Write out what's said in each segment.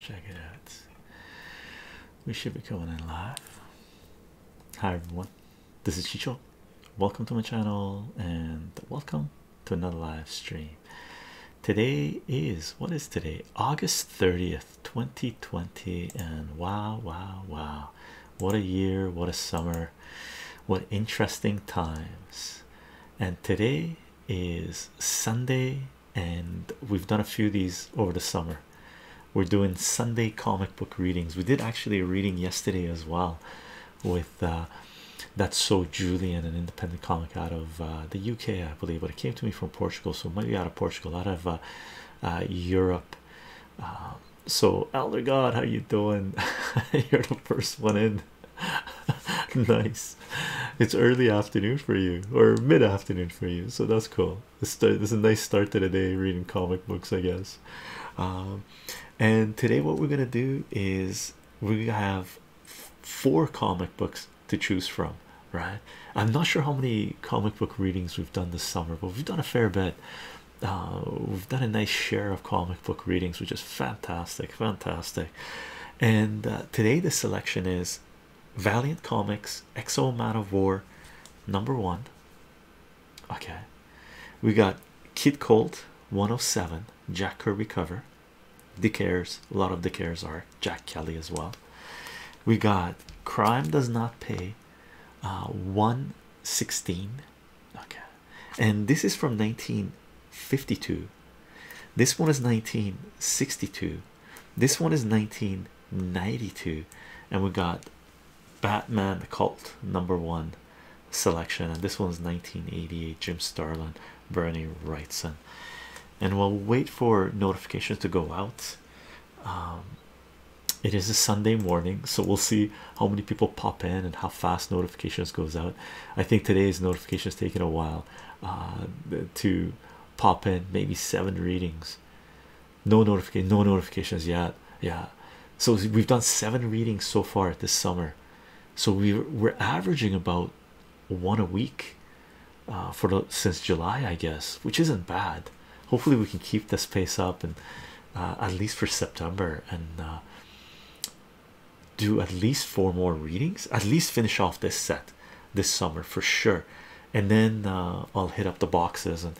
Check it out. We should be going in live. Hi everyone, this is Chicho. Welcome to my channel and welcome to another live stream. Today is what is today? August 30th, 2020. And wow, wow, wow. What a year, what a summer, what interesting times. And today is Sunday, and we've done a few of these over the summer. We're doing Sunday comic book readings. We did actually a reading yesterday as well with uh, that's so Julian, an independent comic out of uh, the UK, I believe, but it came to me from Portugal, so it might be out of Portugal, out of uh, uh, Europe. Um, so, Elder God, how you doing? You're the first one in. nice. it's early afternoon for you or mid afternoon for you, so that's cool. This is a nice start to the day reading comic books, I guess. Um, and today, what we're gonna do is we have four comic books to choose from, right? I'm not sure how many comic book readings we've done this summer, but we've done a fair bit. Uh, we've done a nice share of comic book readings, which is fantastic, fantastic. And uh, today, the selection is Valiant Comics Exo Man of War number one. Okay, we got Kid Colt 107 Jack Kirby cover, cares a lot of the cares are Jack Kelly as well. We got Crime Does Not Pay uh, 116. Okay, and this is from 1952. This one is 1962. This one is 1992, and we got Batman the Cult number one selection, and this one is 1988. Jim Starlin, Bernie Wrightson, and we'll wait for notifications to go out. Um, it is a Sunday morning, so we'll see how many people pop in and how fast notifications goes out. I think today's notifications taking a while uh, to pop in maybe seven readings no notification no notifications yet yeah so we've done seven readings so far this summer so we we're averaging about one a week uh, for the since July I guess which isn't bad hopefully we can keep this pace up and uh, at least for September and uh, do at least four more readings at least finish off this set this summer for sure and then uh, I'll hit up the boxes and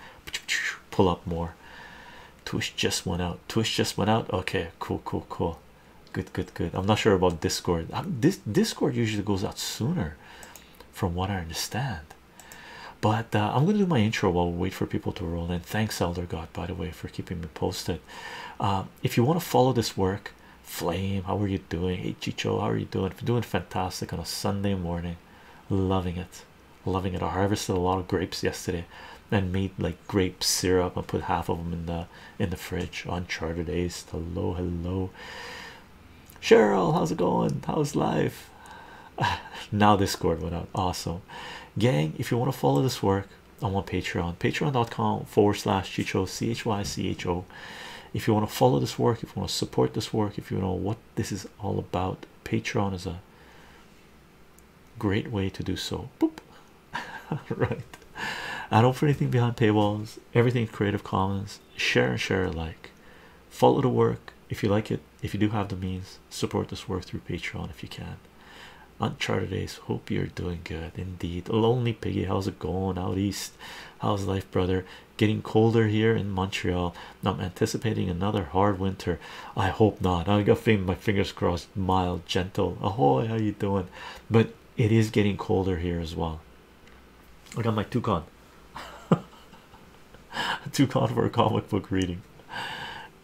pull up more Twitch just went out Twitch just went out okay cool cool cool good good good I'm not sure about discord uh, discord usually goes out sooner from what I understand but uh, I'm gonna do my intro while we wait for people to roll in thanks elder god by the way for keeping me posted if you want to follow this work Flame, how are you doing? Hey Chicho, how are you doing? Doing fantastic on a Sunday morning, loving it, loving it. I harvested a lot of grapes yesterday and made like grape syrup and put half of them in the in the fridge on charter days. Hello, hello. Cheryl, how's it going? How's life? now Discord went out. Awesome. Gang, if you want to follow this work, I'm on Patreon. Patreon.com forward slash Chicho C H Y C H O if you want to follow this work if you want to support this work if you know what this is all about patreon is a great way to do so Boop. right i don't for anything behind paywalls everything is creative commons share and share alike follow the work if you like it if you do have the means support this work through patreon if you can uncharted days hope you're doing good indeed lonely piggy how's it going out east how's life brother getting colder here in Montreal. I'm anticipating another hard winter. I hope not. I got my fingers crossed. Mild, gentle. Ahoy, how you doing? But it is getting colder here as well. I got my toucan. toucan for comic book reading.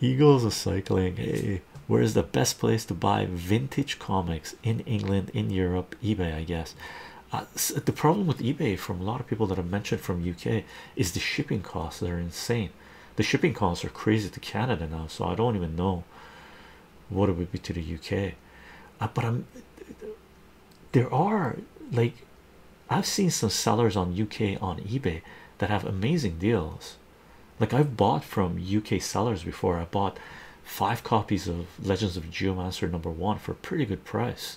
Eagles are cycling. Hey, where is the best place to buy vintage comics in England, in Europe? eBay, I guess the problem with eBay from a lot of people that I've mentioned from UK is the shipping costs. They're insane. The shipping costs are crazy to Canada now, so I don't even know what it would be to the UK. Uh, but I'm there are like I've seen some sellers on UK on eBay that have amazing deals. Like I've bought from UK sellers before. I bought five copies of Legends of Geomancer number one for a pretty good price.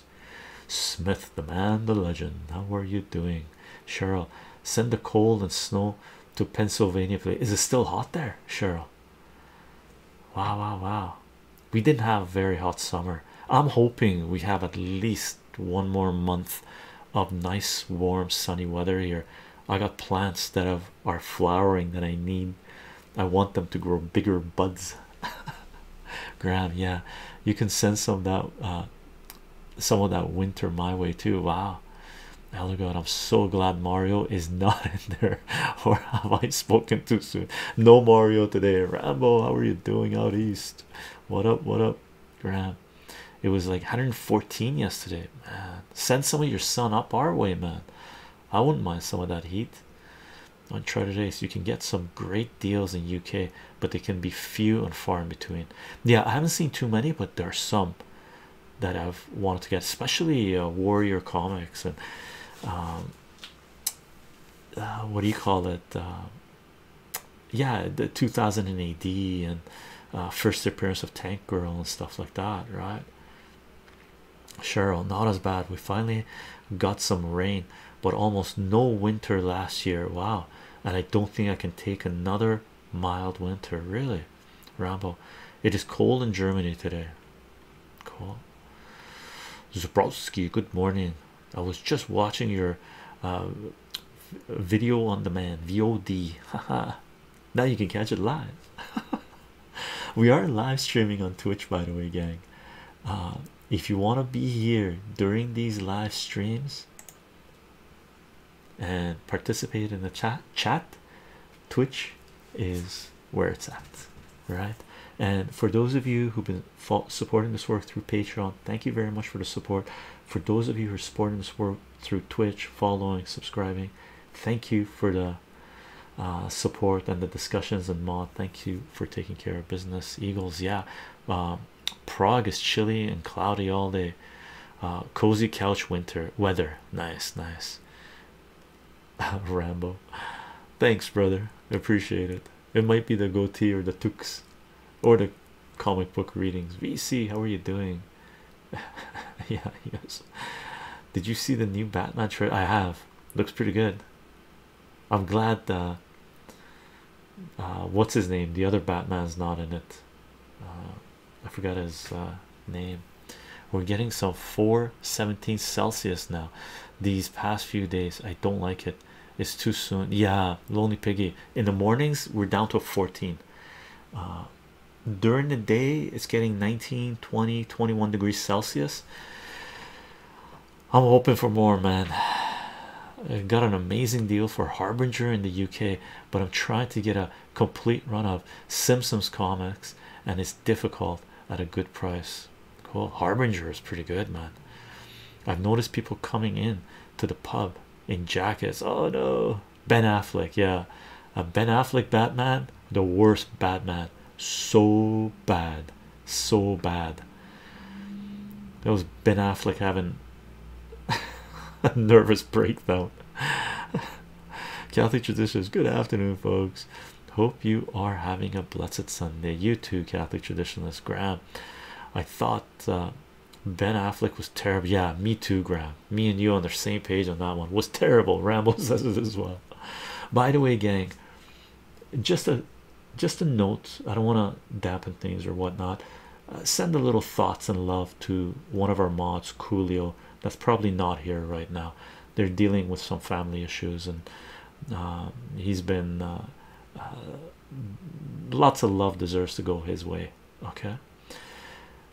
Smith, the man, the legend. How are you doing, Cheryl? Send the cold and snow to Pennsylvania. Please. Is it still hot there, Cheryl? Wow, wow, wow. We didn't have a very hot summer. I'm hoping we have at least one more month of nice, warm, sunny weather here. I got plants that are flowering that I need I want them to grow bigger buds. Graham, yeah, you can send some of that uh, some of that winter my way too. Wow, oh God, I'm so glad Mario is not in there. Or have I spoken too soon? No Mario today. Rambo, how are you doing out east? What up? What up, Graham? It was like 114 yesterday, man. Send some of your sun up our way, man. I wouldn't mind some of that heat on Trader days you can get some great deals in UK but they can be few and far in between yeah I haven't seen too many but there are some that I've wanted to get especially uh, warrior comics and um, uh, what do you call it uh, yeah the 2000 AD and first appearance of Tank Girl and stuff like that right Cheryl not as bad we finally got some rain, but almost no winter last year. Wow, and I don't think I can take another mild winter, really. Rambo, it is cold in Germany today. Cool, Zabrowski, good morning. I was just watching your uh, video on demand VOD. now you can catch it live. we are live streaming on Twitch, by the way, gang. Uh, if you want to be here during these live streams and participate in the chat twitch is where it's at right and for those of you who've been supporting this work through patreon thank you very much for the support for those of you who are supporting this work through twitch following subscribing thank you for the uh, support and the discussions and mod thank you for taking care of business. Eagles, yeah. Uh, Prague is chilly and cloudy all day. Uh, cozy couch winter weather. Nice, nice. Rambo, thanks, brother. Appreciate it. It might be the goatee or the tux or the comic book readings. VC, how are you doing? yeah, yes. Did you see the new Batman trailer? I have. Looks pretty good. I'm glad uh, what's his name? The other Batman's not in it. Uh, I forgot his uh, name. We're getting some 417 Celsius now. These past few days, I don't like it. It's too soon. Yeah, lonely piggy. In the mornings, we're down to 14. Uh, during the day, it's getting 19, 20, 21 degrees Celsius. I'm hoping for more, man. I have got an amazing deal for Harbinger in the UK, but I'm trying to get a complete run of Simpsons comics, and it's difficult at a good price. Cool, Harbinger is pretty good, man. I've noticed people coming in to the pub in jackets. Oh no, Ben Affleck, yeah, a Ben Affleck Batman, the worst Batman, so bad so bad. That was Ben Affleck having a nervous breakdown. Catholic traditions. Good afternoon, folks. Hope you are having a blessed Sunday. You too, Catholic traditionalist Graham. I thought uh, Ben Affleck was terrible. Yeah, me too, Graham. Me and you on the same page on that one was terrible. Rambles as well. By the way, gang, just a just a note i don't want to dampen things or whatnot uh, send a little thoughts and love to one of our mods coolio that's probably not here right now they're dealing with some family issues and uh, he's been uh, lots of love deserves to go his way okay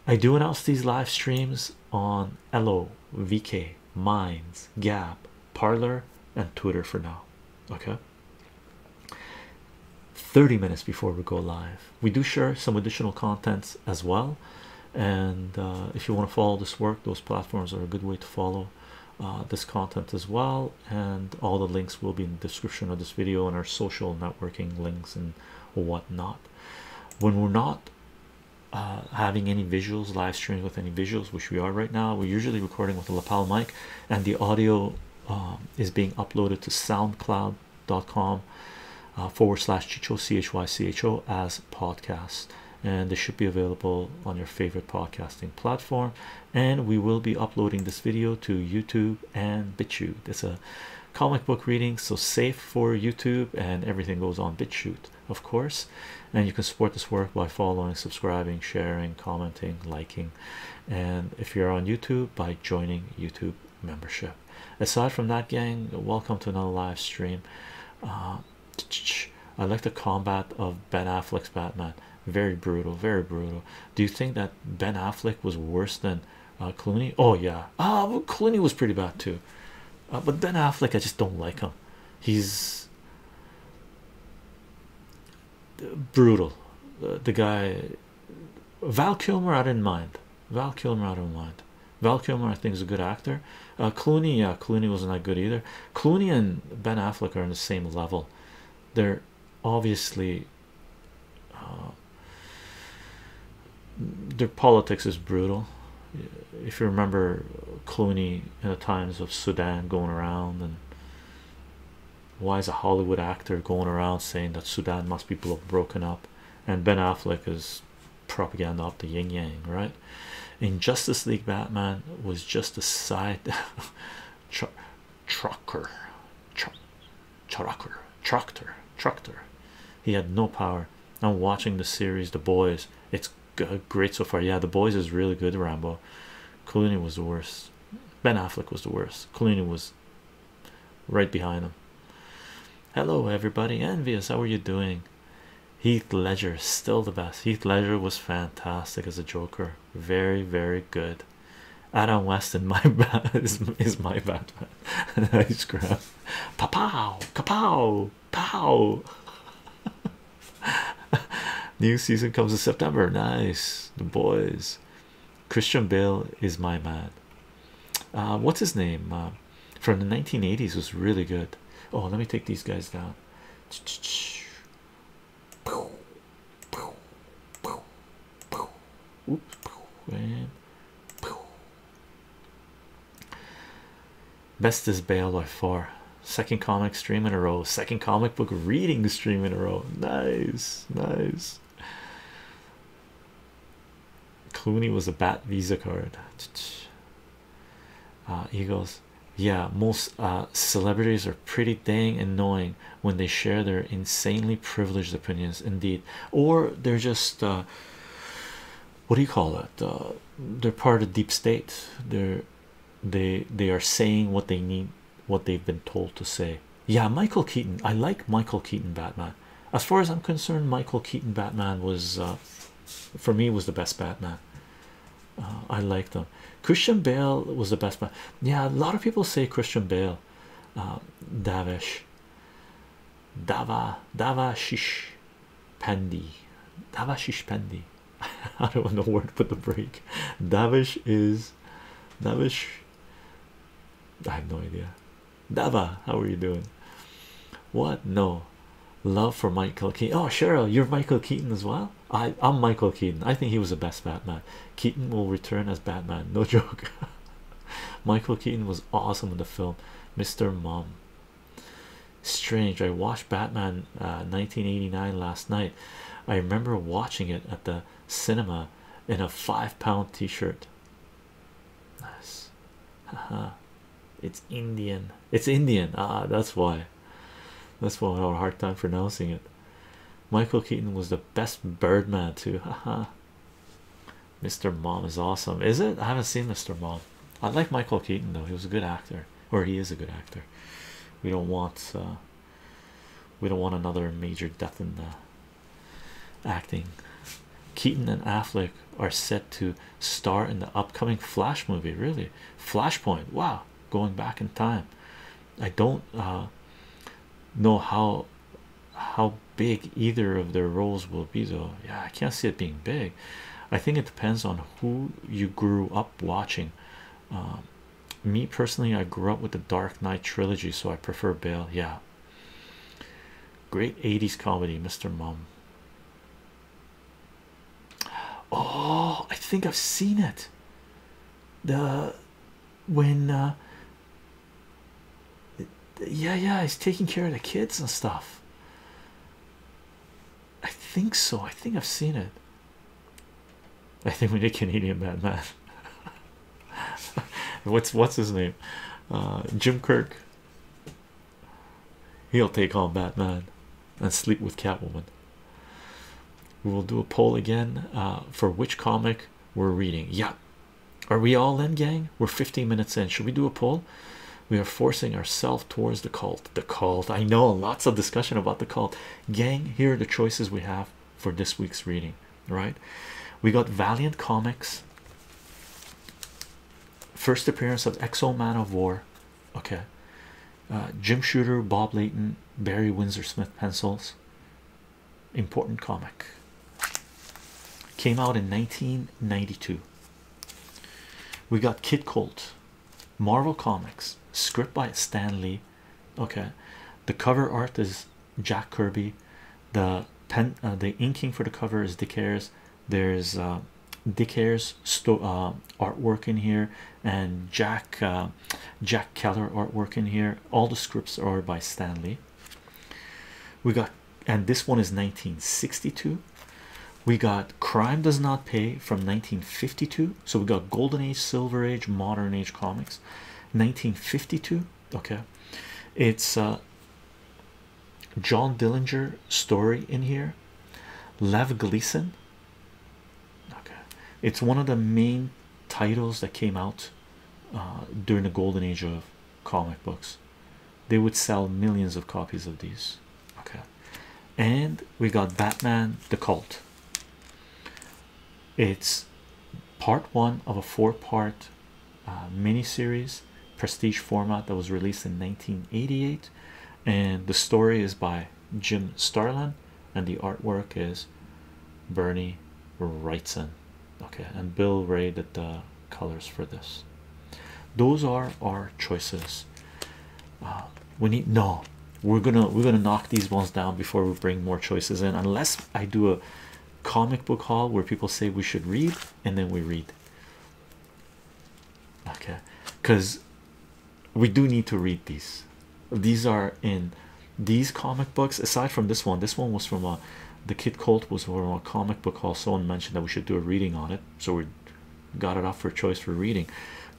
i do announce these live streams on lo vk minds gap parlor and twitter for now okay 30 minutes before we go live. We do share some additional content as well. And uh, if you want to follow this work, those platforms are a good way to follow uh, this content as well. And all the links will be in the description of this video and our social networking links and whatnot. When we're not uh, having any visuals, live streaming with any visuals, which we are right now, we're usually recording with a lapel mic and the audio um, is being uploaded to soundcloud.com uh, forward slash chicho chycho as podcast and they should be available on your favorite podcasting platform and we will be uploading this video to youtube and bitchute it's a comic book reading so safe for youtube and everything goes on bitchute of course and you can support this work by following subscribing sharing commenting liking and if you're on youtube by joining youtube membership aside from that gang welcome to another live stream uh, i like the combat of ben affleck's batman very brutal very brutal do you think that ben affleck was worse than uh, clooney oh yeah ah clooney was pretty bad too uh, but ben affleck i just don't like him he's brutal. The, guy Val Kilmer, I didn't mind. Val Kilmer, I don't mind. Val Kilmer, I think, is a good actor. Uh, Clooney, Clooney wasn't that good either. Clooney and Ben Affleck are on the same level. They're obviously uh, their politics is brutal. If you remember Clooney in the times of Sudan going around and why is a Hollywood actor going around saying that Sudan must be broken up? And Ben Affleck is propaganda of the yin yang, right? In Justice League, Batman was just a side tr trucker, tr trucker, tractor, tractor. He had no power. I'm watching the series, The Boys. It's good, great so far. Yeah, The Boys is really good, Rambo. Clooney was the worst. Ben Affleck was the worst. Clooney was right behind him. Hello, everybody. Envious, how are you doing? Heath Ledger, still the best. Heath Ledger was fantastic as a Joker. Very, very good. Adam West in my bad is, is my Batman. nice grab. Pow, pow, pow, pow. New season comes in September. Nice, the boys. Christian Bale is my man. Uh, what's his name? Uh, from the 1980s was really good. Oh, let me take these guys down. Best is Bale by far. Second comic stream in a row. Second comic book reading stream in a row. Nice, nice. Clooney was a bad visa card. Uh, goes, yeah. Most uh, celebrities are pretty dang annoying when they share their insanely privileged opinions, indeed, or they're just uh, what do you call it? Uh, they're part of deep state. They're they they are saying what they need what they've been told to say. Yeah, Michael Keaton. I like Michael Keaton Batman. As far as I'm concerned, Michael Keaton Batman was, uh, for me, was the best Batman. Uh, I like them. Christian Bale was the best. Batman. Yeah, a lot of people say Christian Bale. Uh, Davish. Dava. Davashish. Pandi. Davashish Pandi. I don't know where word for the break. Davish is Davish, I have no idea. Dava, how are you doing? What? No, love for Michael Keaton. Oh, Cheryl, you're Michael Keaton as well. I, I'm Michael Keaton. I think he was the best Batman. Keaton will return as Batman. No joke. Michael Keaton was awesome in the film. Mr. Mom. Strange. I watched Batman 1989 uh, last night. I remember watching it at the cinema in a five pound t-shirt nice haha it's indian it's indian ah that's why that's why i have a hard time pronouncing it michael keaton was the best birdman too haha mr mom is awesome is it i haven't seen mr mom i like michael keaton though he was a good actor or he is a good actor we don't want uh, we don't want another major death in the acting. Keaton and Affleck are set to star in the upcoming Flash movie. Really, Flashpoint. Wow, going back in time. I don't uh, know how how big either of their roles will be though. Yeah, I can't see it being big. I think it depends on who you grew up watching. Um, me personally i grew up with the dark knight trilogy so i prefer bale yeah great 80s comedy mr mom oh i think i've seen it the when uh, yeah yeah he's taking care of the kids and stuff i think so i think i've seen it I think we need Canadian Batman. what's what's his name? Uh, Jim Kirk. He'll take on Batman and sleep with Catwoman. We will do a poll again uh, for which comic we're reading. Yeah, are we all in, gang? We're 15 minutes in. Should we do a poll? We are forcing ourselves towards the cult. The cult. I know lots of discussion about the cult. Gang, here are the choices we have for this week's reading right? We got Valiant Comics, first appearance of Exo Man of War, okay. Uh, Jim Shooter, Bob Layton, Barry Windsor Smith pencils. Important comic came out in 1992. We got Kid Colt, Marvel Comics, script by Stan Lee, okay the cover art is jack kirby the pen uh, the inking for the cover is dick Ayers. there's uh dick Ayers uh, artwork in here and jack uh, jack keller artwork in here all the scripts are by stanley we got and this one is 1962 we got crime does not pay from 1952 so we got golden age silver age modern age comics 1952 okay it's uh john dillinger story in here lev gleason okay it's one of the main titles that came out uh, during the golden age of comic books they would sell millions of copies of these okay and we got batman the cult it's part one of a four-part uh, mini-series, prestige format that was released in 1988, and the story is by Jim Starlin, and the artwork is Bernie Wrightson. Okay, and Bill Ray did the colors for this. Those are our choices. Uh, we need no. We're gonna we're gonna knock these ones down before we bring more choices in, unless I do a comic book hall where people say we should read and then we read okay because we do need to read these these are in these comic books aside from this one this one was from a the kid cult was from a comic book hall. someone mentioned that we should do a reading on it so we got it off for choice for reading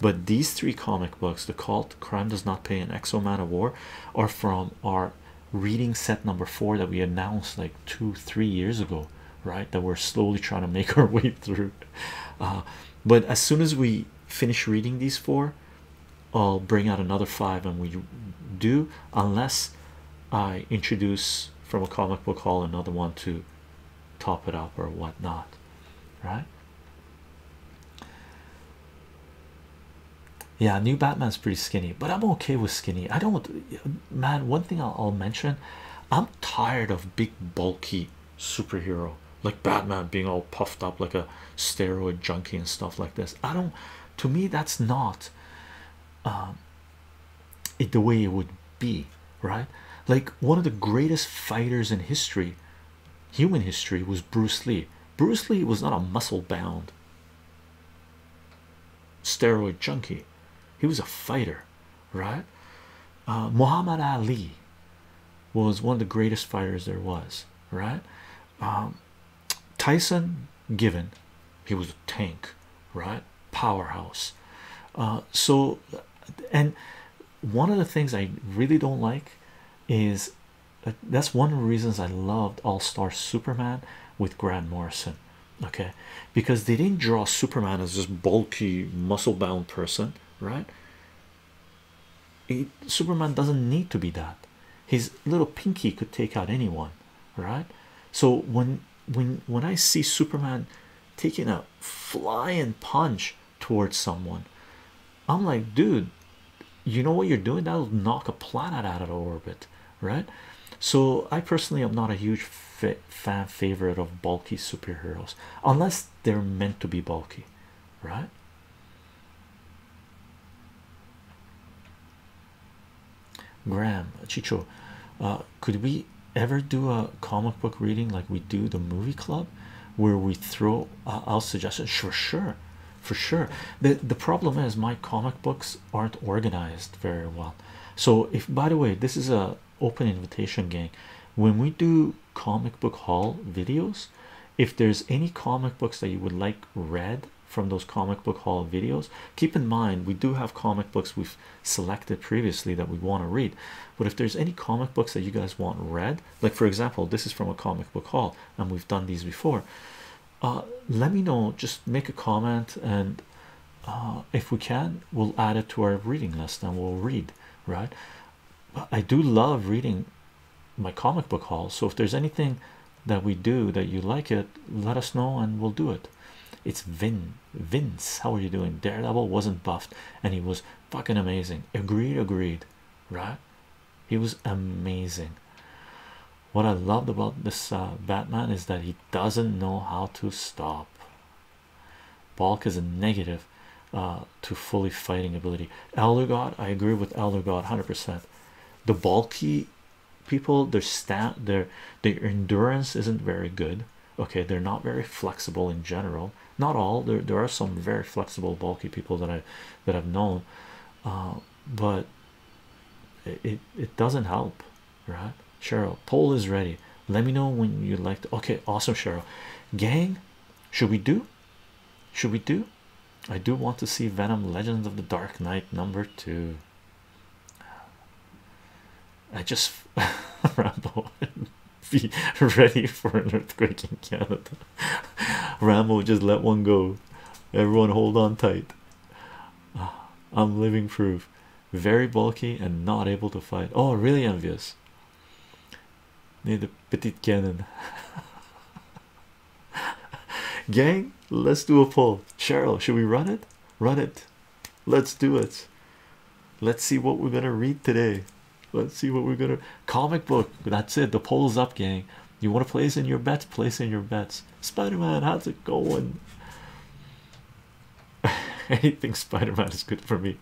but these three comic books the cult crime does not pay and exo man of war are from our reading set number four that we announced like two three years ago right that we're slowly trying to make our way through uh, but as soon as we finish reading these four i'll bring out another five and we do unless i introduce from a comic book hall another one to top it up or whatnot right yeah new batman's pretty skinny but i'm okay with skinny i don't man one thing i'll, mention i'm tired of big bulky superhero like batman being all puffed up like a steroid junkie and stuff like this i don't to me that's not um it the way it would be right like one of the greatest fighters in history human history was bruce lee bruce lee was not a muscle bound steroid junkie he was a fighter right uh, muhammad ali was one of the greatest fighters there was right um, tyson given he was a tank right powerhouse uh, so and one of the things i really don't like is that's one of the reasons I loved All Star Superman with Grant Morrison. Okay, because they didn't draw Superman as this bulky, muscle bound person, right? Superman doesn't need to be that. His little pinky could take out anyone, right? So when when when I see Superman taking a flying punch towards someone, I'm like, dude, you know what you're doing that'll knock a planet out of orbit right so i personally am not a huge fan favorite of bulky superheroes unless they're meant to be bulky right graham chicho uh, could we ever do a comic book reading like we do the movie club where we throw I'll uh, suggest it. sure sure for sure. The the problem is my comic books aren't organized very well. So if by the way, this is a open invitation gang. When we do comic book haul videos, if there's any comic books that you would like read from those comic book haul videos, keep in mind we do have comic books we've selected previously that we want to read. But if there's any comic books that you guys want read, like for example, this is from a comic book haul, and we've done these before uh, let me know just make a comment and uh, if we can we'll add it to our reading list and we'll read right I do love reading my comic book haul so if there's anything that we do that you like it let us know and we'll do it it's Vin Vince how are you doing Daredevil wasn't buffed and he was fucking amazing agreed agreed right he was amazing. What I loved about this uh, Batman is that he doesn't know how to stop. Bulk is a negative uh, to fully fighting ability. Elder I agree with Elder 100%. The bulky people, their stat, their their endurance isn't very good. Okay, they're not very flexible in general. Not all. There, there are some very flexible bulky people that I that I've known. Uh, but it it doesn't help, right? Cheryl, poll is ready. Let me know when you would like to. Okay, awesome, Cheryl. Gang, should we do? Should we do? I do want to see Venom: Legends of the Dark Knight number two. I just Rambo be ready for an earthquake in Canada. Rambo just let one go. Everyone hold on tight. Ah, I'm living proof. Very bulky and not able to fight. Oh, really envious. Need a petit canon. Gang, let's do a poll. Cheryl, should we run it? Run it. Let's do it. Let's see what we're gonna read today. Let's see what we're gonna comic book. That's it. The poll's up, gang. You want to place in your bets? Place in your bets. Spider-Man, how's it going? Anything Spider-Man is good for me.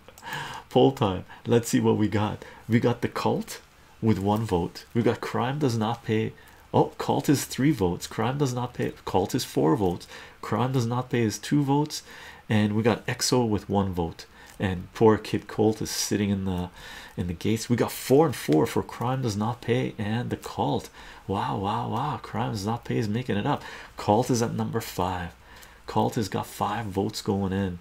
Poll time. Let's see what we got. We got the cult with one vote. We got crime does not pay. Oh, cult is three votes. Crime does not pay. Cult is four votes. Crime does not pay is two votes, and we got EXO with one vote. And poor Kid cult is sitting in the in the gates. We got four and four for crime does not pay and the cult. Wow, wow, wow! Crime does not pay is making it up. Cult is at number five. Cult has got five votes going in.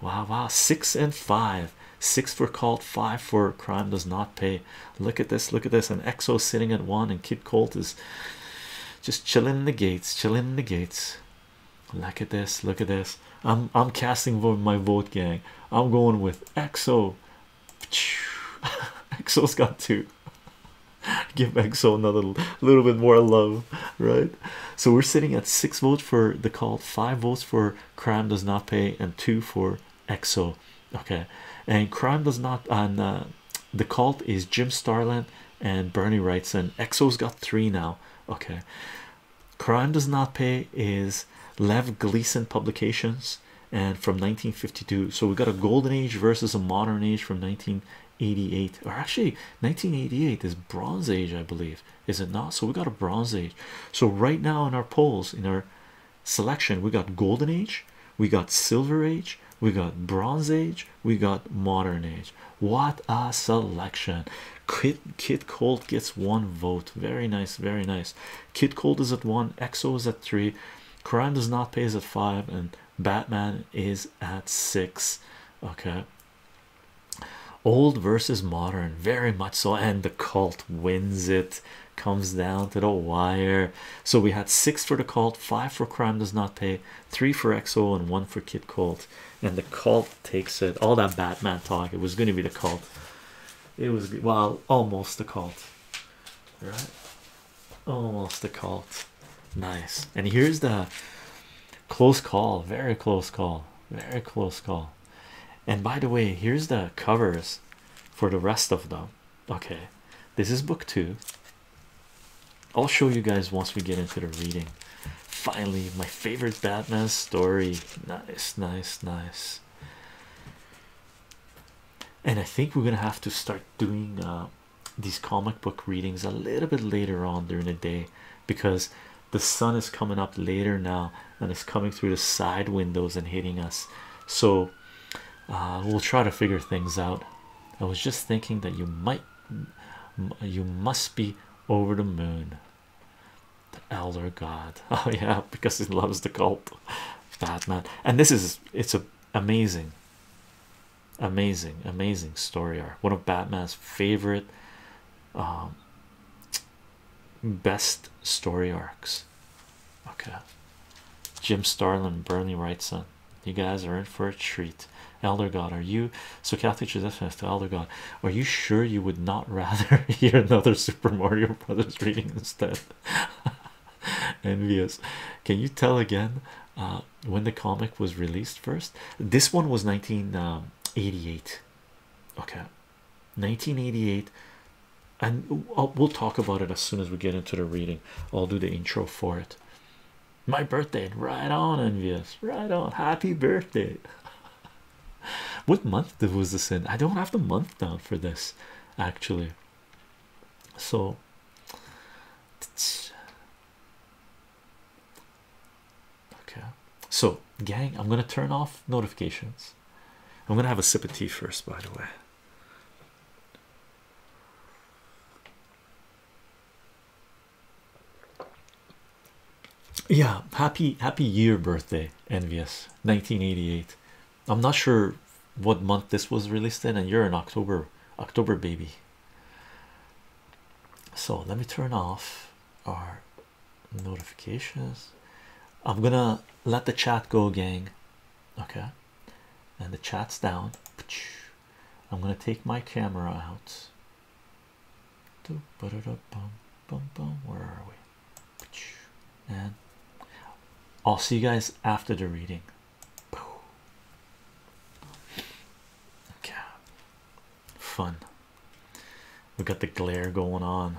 Wow, wow, six and five. Six for cult, five for crime does not pay. Look at this, look at this. And exo sitting at one, and Kid Colt is just chilling in the gates, chilling in the gates. Look at this, look at this. I'm I'm casting for my vote, gang. I'm going with exo Exo's got two. Give Exo another little bit more love, right? So we're sitting at six votes for the cult, five votes for crime does not pay, and two for Exo. Okay, and crime does not on uh, the cult is Jim Starland and Bernie writes and Exo's got three now. Okay, crime does not pay is Lev Gleason Publications and from 1952 so we got a golden age versus a modern age from 1988 or actually 1988 is bronze age i believe is it not so we got a bronze age so right now in our polls in our selection we got golden age we got silver age we got bronze age we got modern age what a selection Kit Kit colt gets one vote very nice very nice Kid Cold is at one, Exo is at three, Crime Does Not Pay is at five, and Batman is at six. Okay, old versus modern, very much so, and the cult wins it. Comes down to the wire. So we had six for the cult, five for Crime Does Not Pay, three for Exo, and one for Kid Cold. And the cult takes it. All that Batman talk, it was going to be the cult. It was well, almost the cult right? Almost a cult. Nice. And here's the close call, very close call, very close call. And by the way, here's the covers for the rest of them. Okay, this is book two. I'll show you guys once we get into the reading. Finally, my favorite Batman story. Nice, nice, nice and I think we're gonna have to start doing uh, these comic book readings a little bit later on during the day because the sun is coming up later now and it's coming through the side windows and hitting us. So uh, we'll try to figure things out. I was just thinking that you might, you must be over the moon. The elder god. Oh yeah, because he loves the cult. Batman and this is it's a amazing amazing amazing story arc one of batman's favorite um best story arcs okay jim starlin burnley wrightson you guys are in for a treat elder god are you so catholic traditionalist to elder god are you sure you would not rather hear another super mario brothers reading instead envious can you tell again uh, when the comic was released first this one was 1988 um, okay 1988 and uh, we'll talk about it as soon as we get into the reading i'll do the intro for it my birthday right on envious right on happy birthday what month was this in i don't have the month down for this actually so okay so gang i'm gonna turn off notifications i'm gonna have a sip of tea first by the way yeah happy happy year birthday envious 1988 I'm not sure what month this was released in, and you're an October October baby. So let me turn off our notifications. I'm gonna let the chat go, gang. Okay, and the chat's down. I'm gonna take my camera out. Where are we? and I'll see you guys after the reading. Okay, fun. We got the glare going on.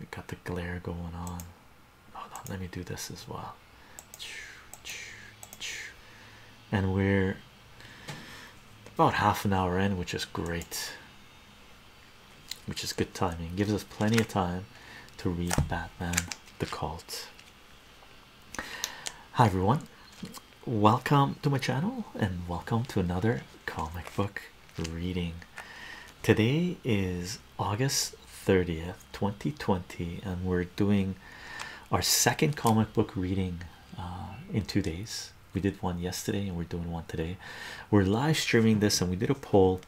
We got the glare going on, let me do this as well. And we're about half an hour in, which is great which is good timing gives us plenty of time to read batman the cult hi everyone welcome to my channel and welcome to another comic book reading today is august 30th 2020 and we're doing our second comic book reading uh, in two days we did one yesterday and we're doing one today we're live streaming this and we did a poll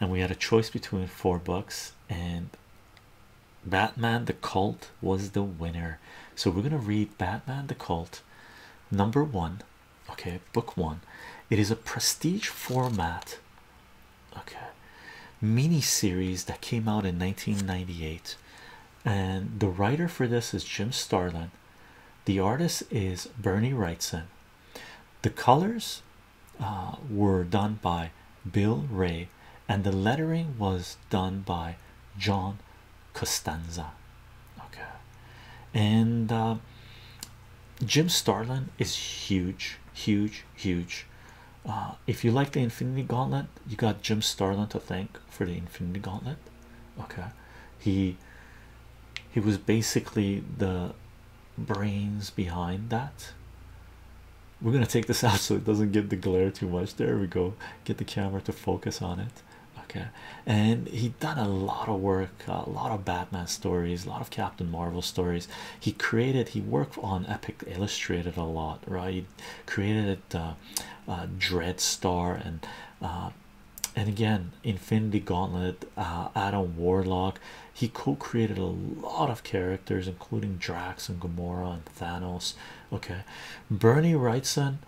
and we had a choice between four books and batman the cult was the winner so we're going to read batman the cult number one okay book one it is a prestige format okay mini series that came out in 1998 and the writer for this is jim starlin the artist is bernie wrightson the colors uh, were done by Bill Ray, and the lettering was done by John Costanza. Okay, and uh, Jim Starlin is huge, huge, huge. Uh, if you like the Infinity Gauntlet, you got Jim Starlin to thank for the Infinity Gauntlet. Okay, he he was basically the brains behind that. We're gonna take this out so it doesn't get the glare too much. There we go. Get the camera to focus on it. Okay, and he done a lot of work, a lot of Batman stories, a lot of Captain Marvel stories. He created, he worked on Epic Illustrated a lot, right? He created uh, uh, Dread Star and uh, and again Infinity Gauntlet, uh, Adam Warlock, he co-created a lot of characters, including Drax and Gamora and Thanos. Okay, Bernie Wrightson,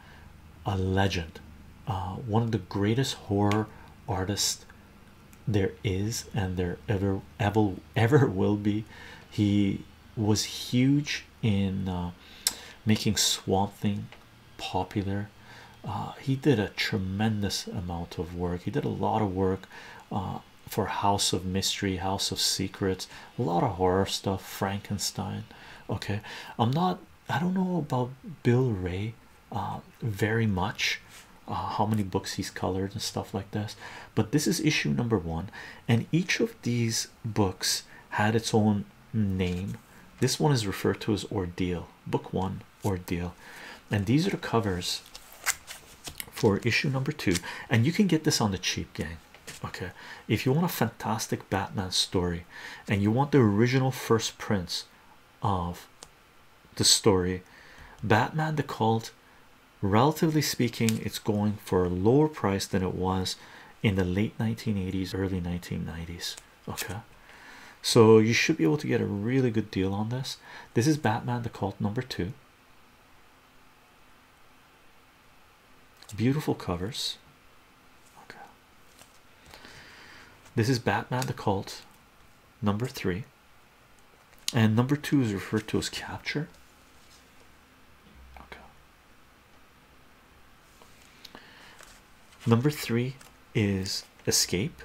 a legend, uh, one of the greatest horror artists there is, and there ever ever ever will be. He was huge in uh, making Swamp Thing popular. Uh, he did a tremendous amount of work. He did a lot of work uh, for House of Mystery, House of Secrets, a lot of horror stuff, Frankenstein. Okay, I'm not, I don't know about Bill Ray uh, very much, uh, how many books he's colored and stuff like this, but this is issue number one, and each of these books had its own name. This one is referred to as Ordeal, book one, Island ordeal. And these are the covers for issue number two. And you can get this on the cheap gang. Okay. If you want a fantastic Batman story and you want the original first prints of the story, Batman the Cult, relatively speaking, it's going for a lower price than it was in the late 1980s, early 1990s. Okay. So you should be able to get a really good deal on this. This is Batman the Cult number two. Beautiful covers. This is Batman the Cult number three. And number two is referred to as capture. Number three is escape.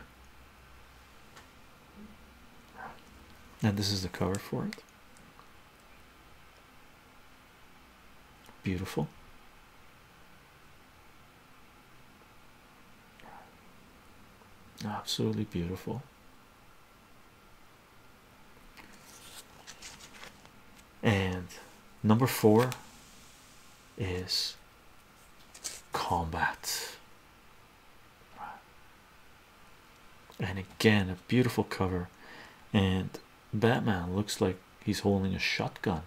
And this is the cover for it. Beautiful. Absolutely beautiful. And number four is combat. And again, a beautiful cover, and Batman looks like he's holding a shotgun.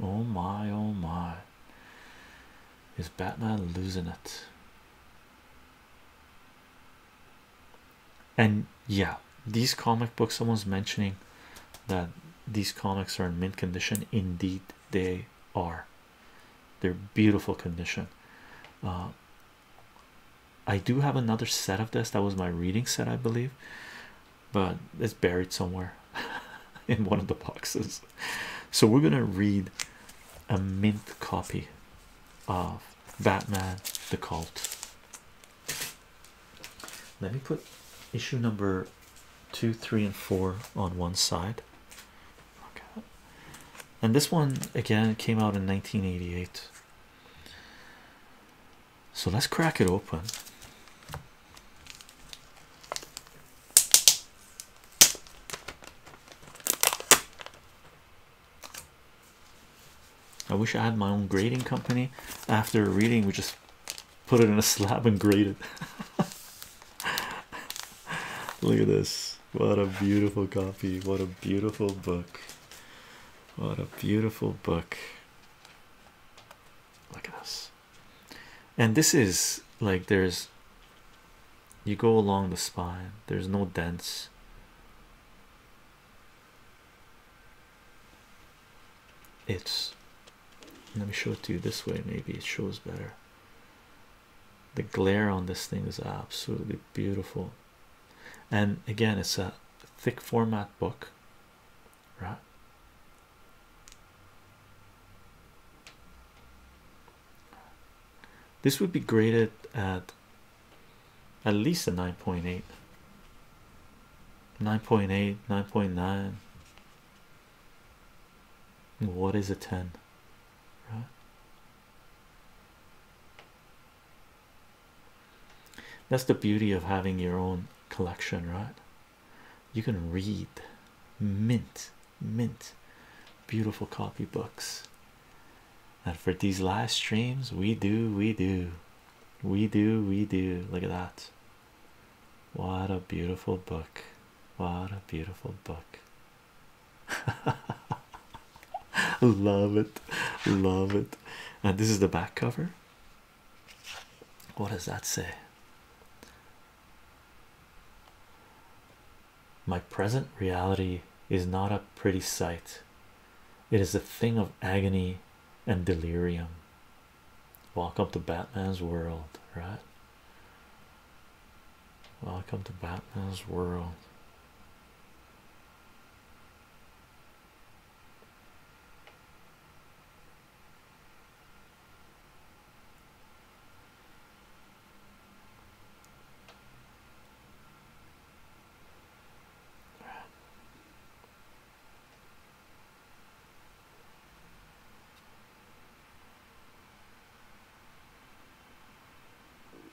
Oh my, oh my. Is Batman losing it? And yeah, these comic books, someone's mentioning that these comics are in mint condition. Indeed, they are they're beautiful condition uh, I do have another set of this that was my reading set I believe but it's buried somewhere in one of the boxes so we're gonna read a mint copy of Batman the Cult let me put issue number two three and four on one side and this one again came out in 1988 so let's crack it open I wish I had my own grading company. After a reading, we just put it in a slab and grade it. Look at this. What a beautiful copy. What a beautiful book. What a beautiful book. Look at this. And this is like there's you go along the spine, there's no dents. It's let me show it to you this way, maybe it shows better the glare on this thing is absolutely beautiful and again it's a thick format book right this would be graded at at least a 9.8 9.8 9.9 what is a 10 right that's the beauty of having your own collection, right? You can read mint, mint, beautiful copy books. And for these live streams, we do, we do, we do, we do. Look at that. What a beautiful book! What a beautiful book! love it, love it. And uh, this is the back cover. What does that say? My present reality is not a pretty sight, it is a thing of agony and delirium. Walk up to Batman's world, right? Welcome to Batman's world.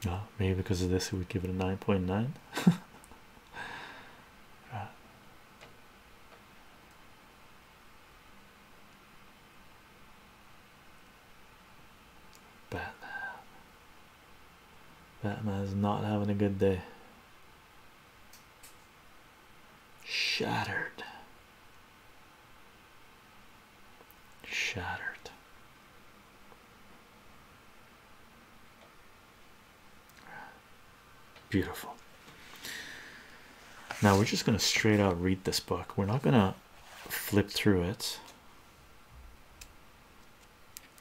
Oh, maybe because of this, he would give it a 9.9. Batman. Batman is not having a good day. Shattered. Shattered. Beautiful. Now we're just going to straight out read this book. We're not going to flip through it.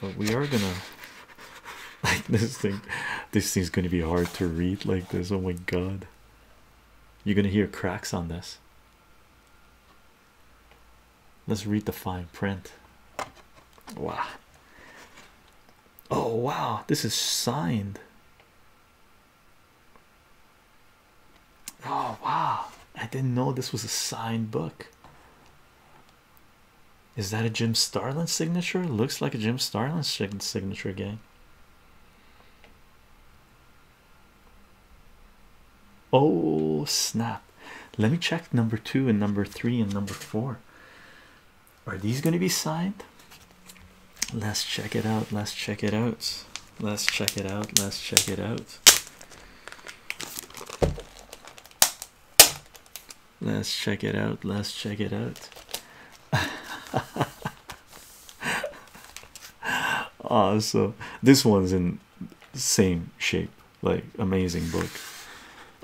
But we are going to like this thing. This thing's going to be hard to read like this. Oh my god. You're going to hear cracks on this. Let's read the fine print. Wow. Oh, wow. This is signed. Oh, wow. I didn't know this was a signed book. Is that a Jim Starlin signature? Looks like a Jim Starlin signature, gang. Oh snap! Let me check number two and number three and number four. Are these going to be signed? Let's check it out. Let's check it out. Let's check it out. Let's check it out. Let's check it out. Let's check it out. awesome. This one's in same shape like amazing book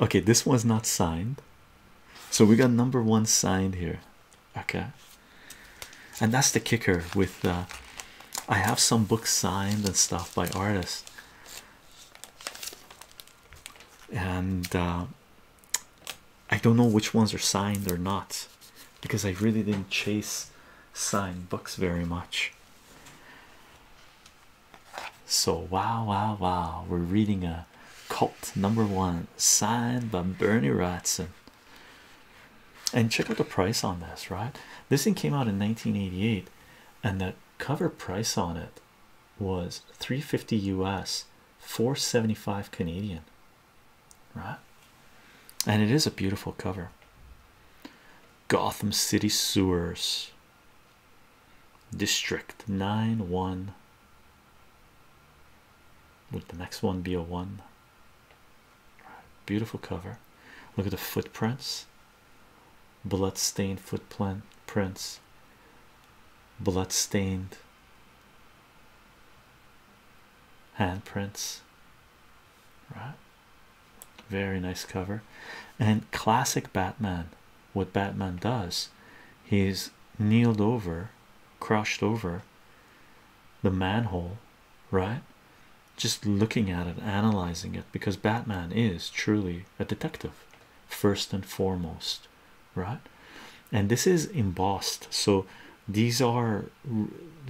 okay this one's not signed so we got number one signed here okay and that's the kicker with uh i have some books signed and stuff by artists and uh i don't know which ones are signed or not because i really didn't chase signed books very much so, wow, wow, wow, we're reading a cult number one signed by Bernie Wrightson. And check out the price on this, right? This thing came out in 1988, and the cover price on it was 350 US, 475 Canadian, right? And it is a beautiful cover. Gotham City sewers, District 9 1. Would the next one be a one? Beautiful cover. Look at the footprints, blood-stained footprints. prints, blood-stained handprints. Right, very nice cover. And classic Batman. What Batman does, he's kneeled over, crushed over the manhole, right? Just looking at it, analyzing it, because Batman is truly a detective, first and foremost, right? And this is embossed, so these are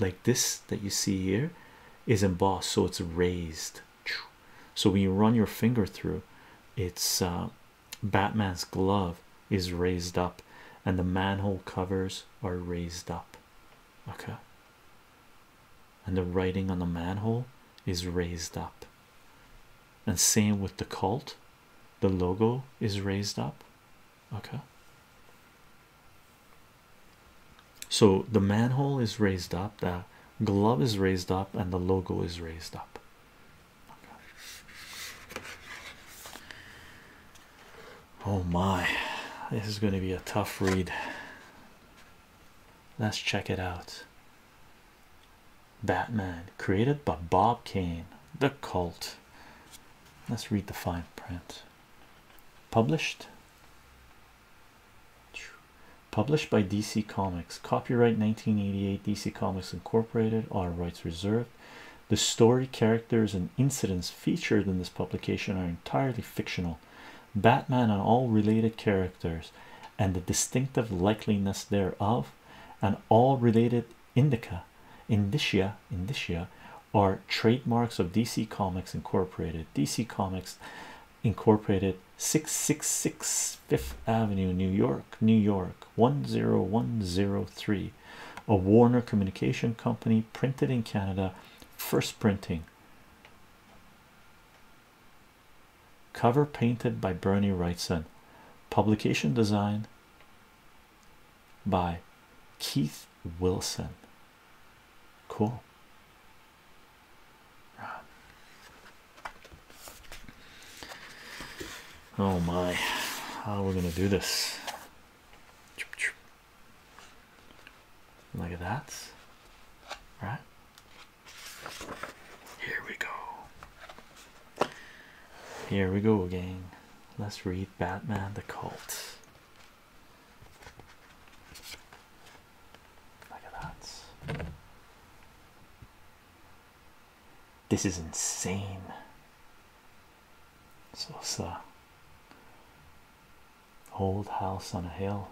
like this that you see here is embossed, so it's raised, so when you run your finger through, it's uh, Batman's glove is raised up, and the manhole covers are raised up. Okay. And the writing on the manhole is raised up. And same with the cult, the logo is raised up. Okay so the manhole is raised up, the glove is raised up, and the logo is raised up. Oh my, this is going to be a tough read. Let's check it out. Batman, created by Bob Kane, the cult. Let's read the fine print. Published Published by DC Comics. Copyright 1988 DC Comics Incorporated. All rights reserved. The story, characters, and incidents featured in this publication are entirely fictional. Batman and all related characters, and the distinctive likeliness thereof, and all related indica, indicia, indicia, are trademarks of DC Comics Incorporated. DC Comics Incorporated, 666 Fifth Avenue, New York, New York 10103, a Warner Communication Company, printed in Canada, first printing. Cover painted by Bernie Wrightson, publication design by Keith Wilson. Cool, Oh my, how are we gonna do this? Look at that, right? Here we go. Here we go again. Let's read Batman the Cult. Look at that. This is insane. So it's uh, old house on a hill.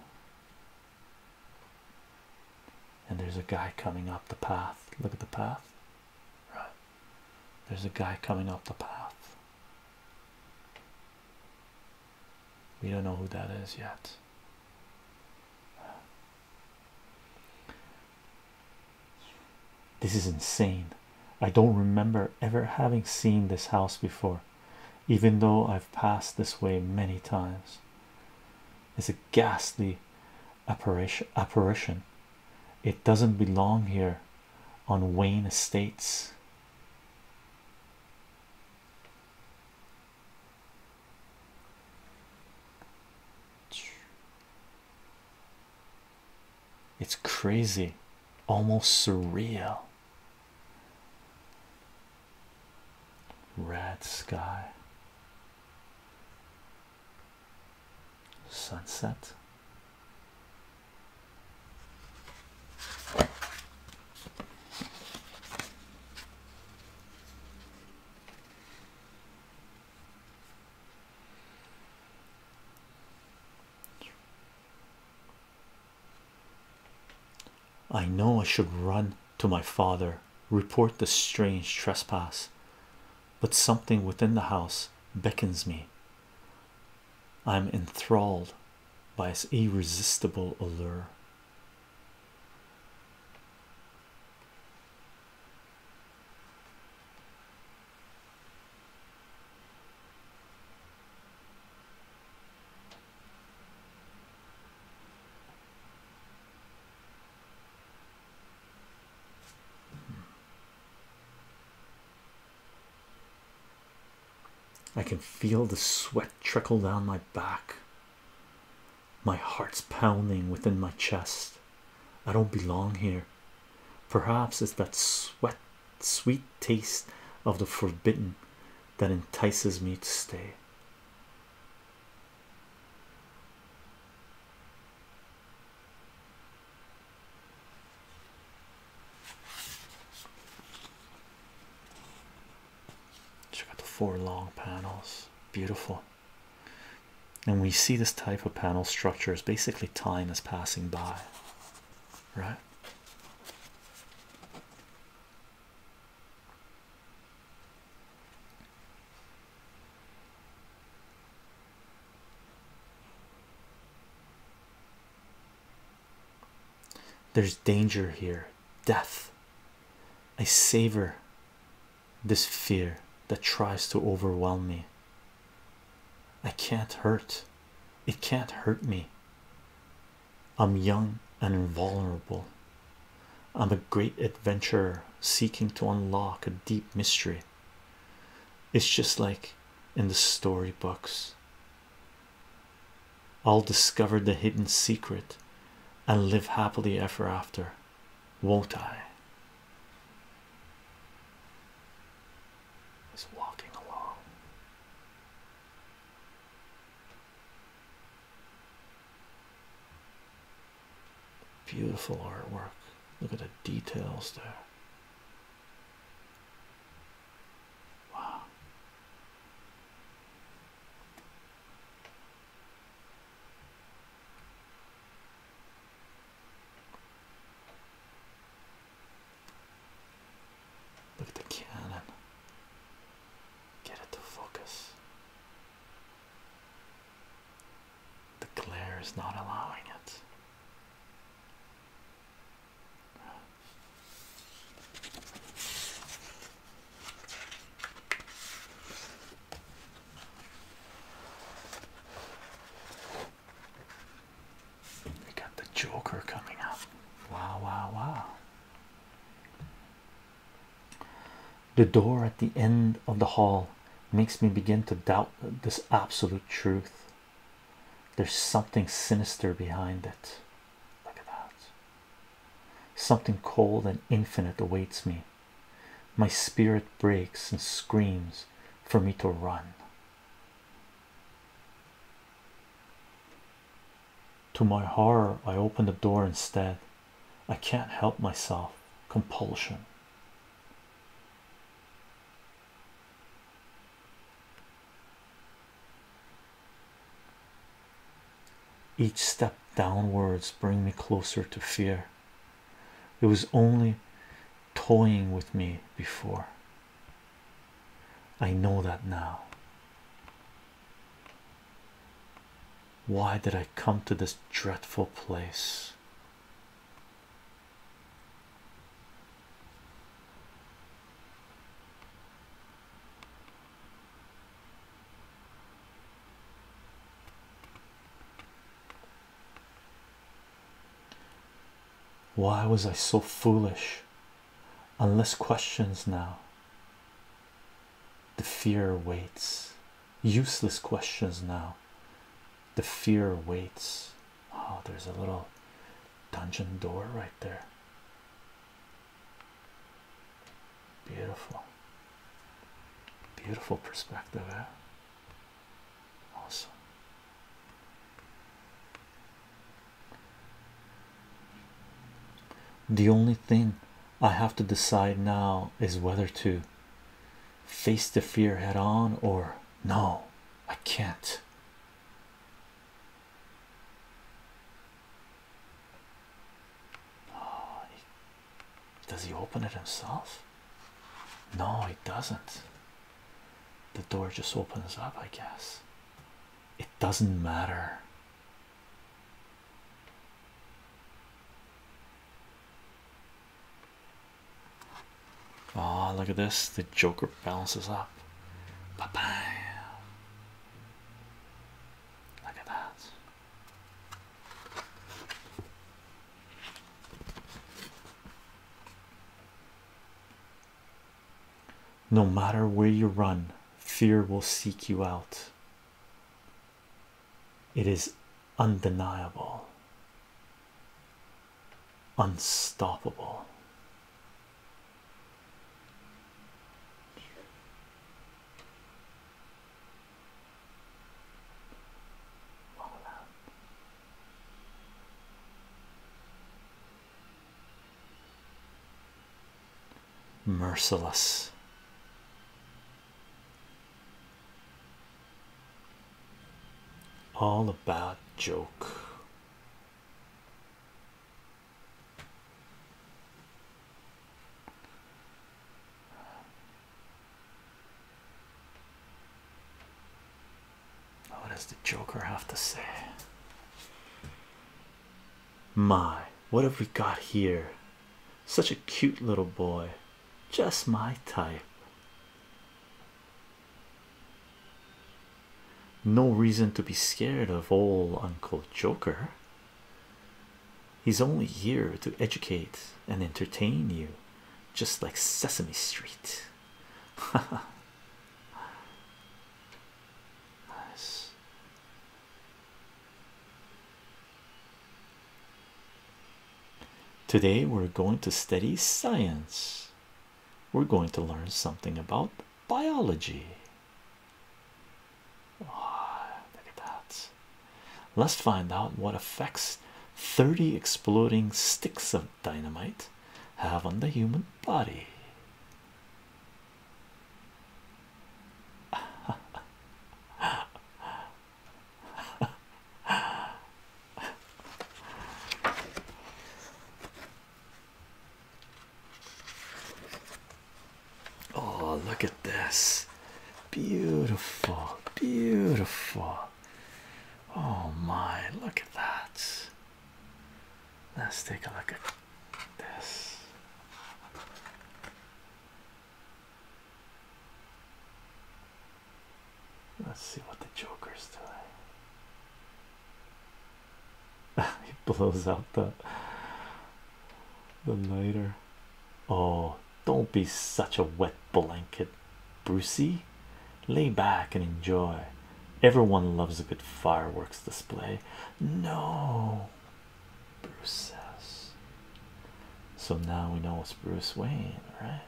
And there's a guy coming up the path. Look at the path. Right. There's a guy coming up the path. We don't know who that is yet. This is insane. I don't remember ever having seen this house before, even though I've passed this way many times. It's a ghastly apparition. It doesn't belong here on Wayne Estates. It's crazy, almost surreal. Red sky, sunset. I know I should run to my father, report the strange trespass, but something within the house beckons me. I'm enthralled by its irresistible allure. I can feel the sweat trickle down my back my heart's pounding within my chest. I don't belong here. Perhaps it's that sweat, sweet taste of the forbidden that entices me to stay check out the four long panels beautiful and we see this type of panel structure is basically time is passing by right there's danger here death. I savor this fear that tries to overwhelm me. I can't hurt, it can't hurt me. I'm young and invulnerable. I'm a great adventurer seeking to unlock a deep mystery. It's just like in the storybooks. I'll discover the hidden secret and live happily ever after, won't I? He's walking along. Beautiful artwork. Look at the details there. Wow. Look at the cannon. Get it to focus. The glare is not allowing it. They got the Joker coming up. Wow, wow, wow. The door at the end of the hall makes me begin to doubt this absolute truth. There's something sinister behind it. Look at that. Something cold and infinite awaits me. My spirit breaks and screams for me to run. To my horror, I open the door instead. I can't help myself. Compulsion. Each step downwards bring me closer to fear. It was only toying with me before. I know that now. Why did I come to this dreadful place? Why was I so foolish? Unless questions now. The fear waits. Useless questions now. The fear waits. Oh, there's a little dungeon door right there. Beautiful, beautiful perspective. Eh? Awesome. The only thing I have to decide now is whether to face the fear head on or no, I can't. Oh, does he open it himself? No, he doesn't. The door just opens up, I guess. It doesn't matter. Oh, look at this. The Joker balances up. Look at that. No matter where you run, fear will seek you out. It is undeniable, unstoppable. Merciless. All a bad joke. Oh, what does the Joker have to say? My, what have we got here? Such a cute little boy, just my type. No reason to be scared of old Uncle Joker. He's only here to educate and entertain you, just like Sesame Street. nice. Today, we're going to study science. We're going to learn something about biology look at that. Let's find out what effects 30 exploding sticks of dynamite have on the human body. Oh, look at this! Beautiful, beautiful. Oh my, look at that. Let's take a look at this. Let's see what the Joker's doing. he blows out the the lighter. Oh, don't be such a wet blanket, Brucey. Lay back and enjoy. Everyone loves a good fireworks display. No, Bruce says. So now we know it's Bruce Wayne, right?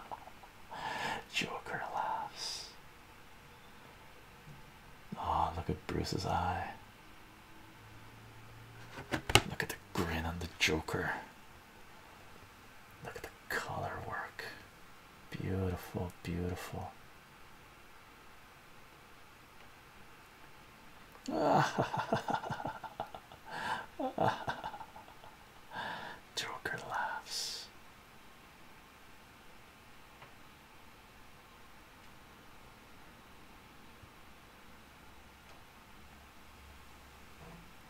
Joker Oh, look at Bruce's eye. Look at the grin on the Joker. Look at the color work. Beautiful, beautiful. Joker laughs.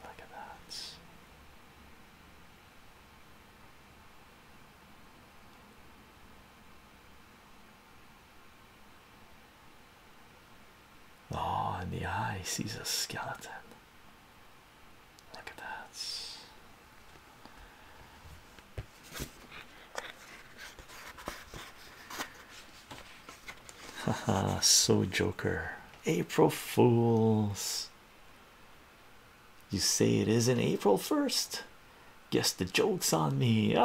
Look at that. Oh, the eye sees a skeleton. Look at that. Haha, so Joker. April Fools. You say it isn't April 1st? Guess the joke's on me.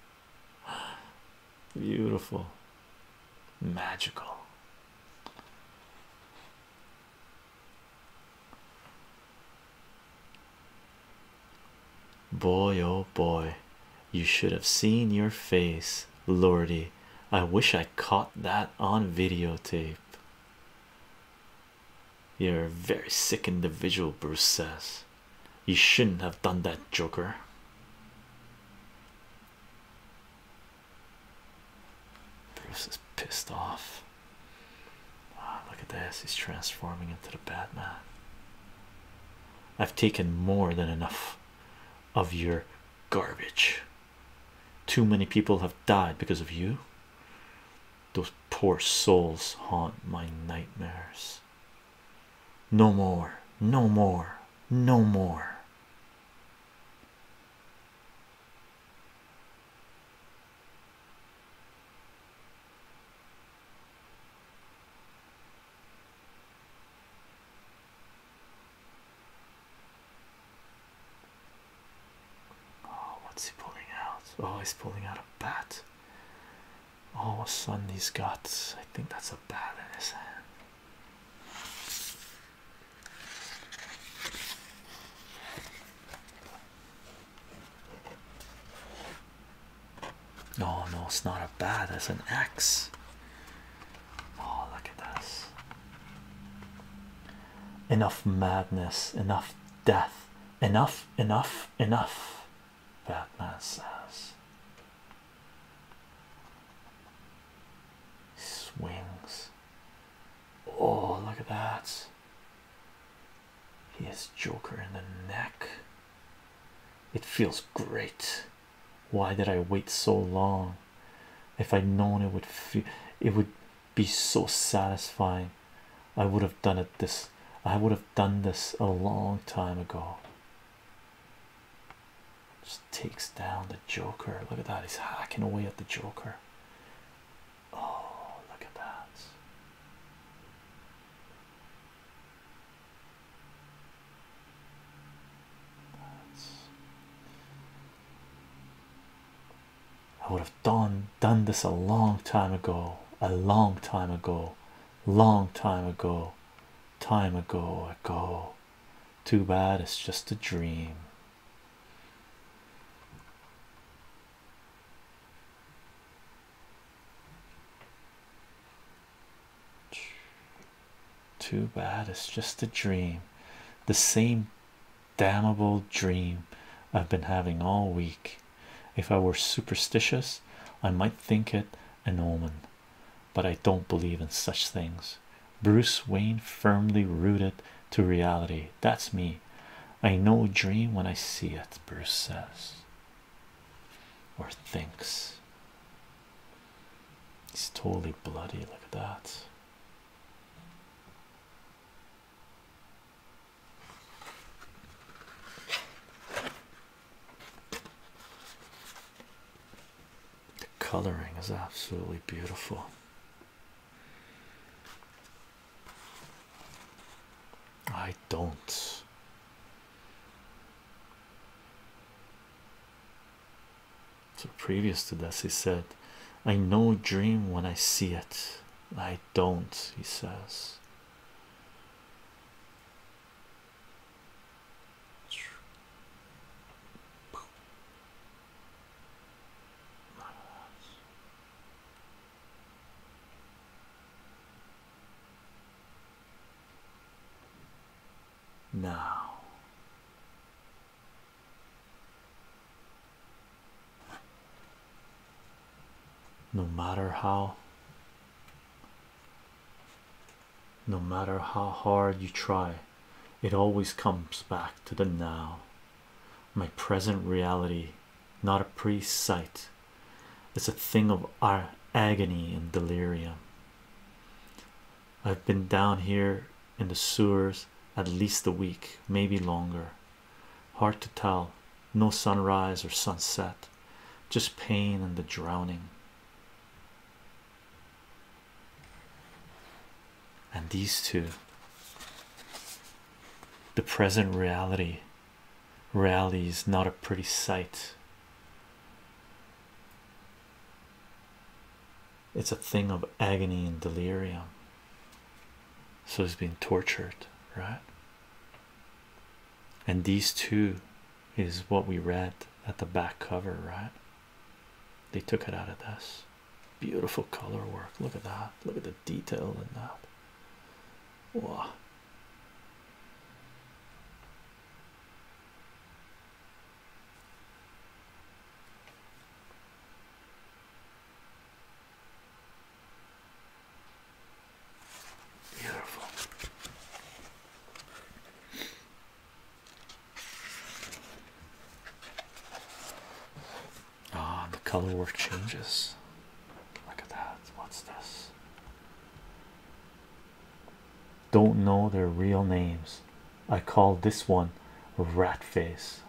Beautiful, magical. Boy, oh boy, you should have seen your face, Lordy. I wish I caught that on videotape. You're a very sick individual, Bruce says. You shouldn't have done that, Joker. Bruce is pissed off look at this. He's transforming into the Batman. I've taken more than enough of your garbage. Too many people have died because of you. Those poor souls haunt my nightmares. No more, no more, no more. Oh, what's he pulling out? Oh, he's pulling out a bat. Oh, of a sudden, he's got I think that's a bat in his hand. No, no, it's not a bat, it's an X. Oh, look at this. Enough madness, enough death, enough, enough, enough, Batman says. Swings. Oh, look at that. He is Joker in the neck. It feels great. Why did I wait so long? If I'd known it would feel it would be so satisfying, I would have done it this I would have done this a long time ago. Just takes down the Joker. Look at that, he's hacking away at the Joker. Oh, look at that. I would have done done this a long time ago, a long time ago, long time ago, time ago ago. Too bad it's just a dream. Too bad it's just a dream. The same damnable dream I've been having all week. If I were superstitious, I might think it an omen, but I don't believe in such things. Bruce Wayne firmly rooted to reality. That's me. I know a dream when I see it, Bruce says or thinks. He's totally bloody. Look at that. The coloring is absolutely beautiful. I don't. So, previous to this, he said, I know dream when I see it. I don't, he says. Now, no matter how, no matter how hard you try, it always comes back to the now. My present reality not a priest's sight. It's a thing of our agony and delirium. I've been down here in the sewers at least a week, maybe longer. Hard to tell. No sunrise or sunset, just pain and the drowning. And these two, the present reality Rally not a pretty sight. It's a thing of agony and delirium. So he's being tortured, right? And these two is what we read at the back cover, right? They took it out of this beautiful color work. Look at that. Look at the detail in that. Wow, Beautiful. Ah, the color work changes. Look at that. What's this? Don't know their real names. I call this one Rat Face.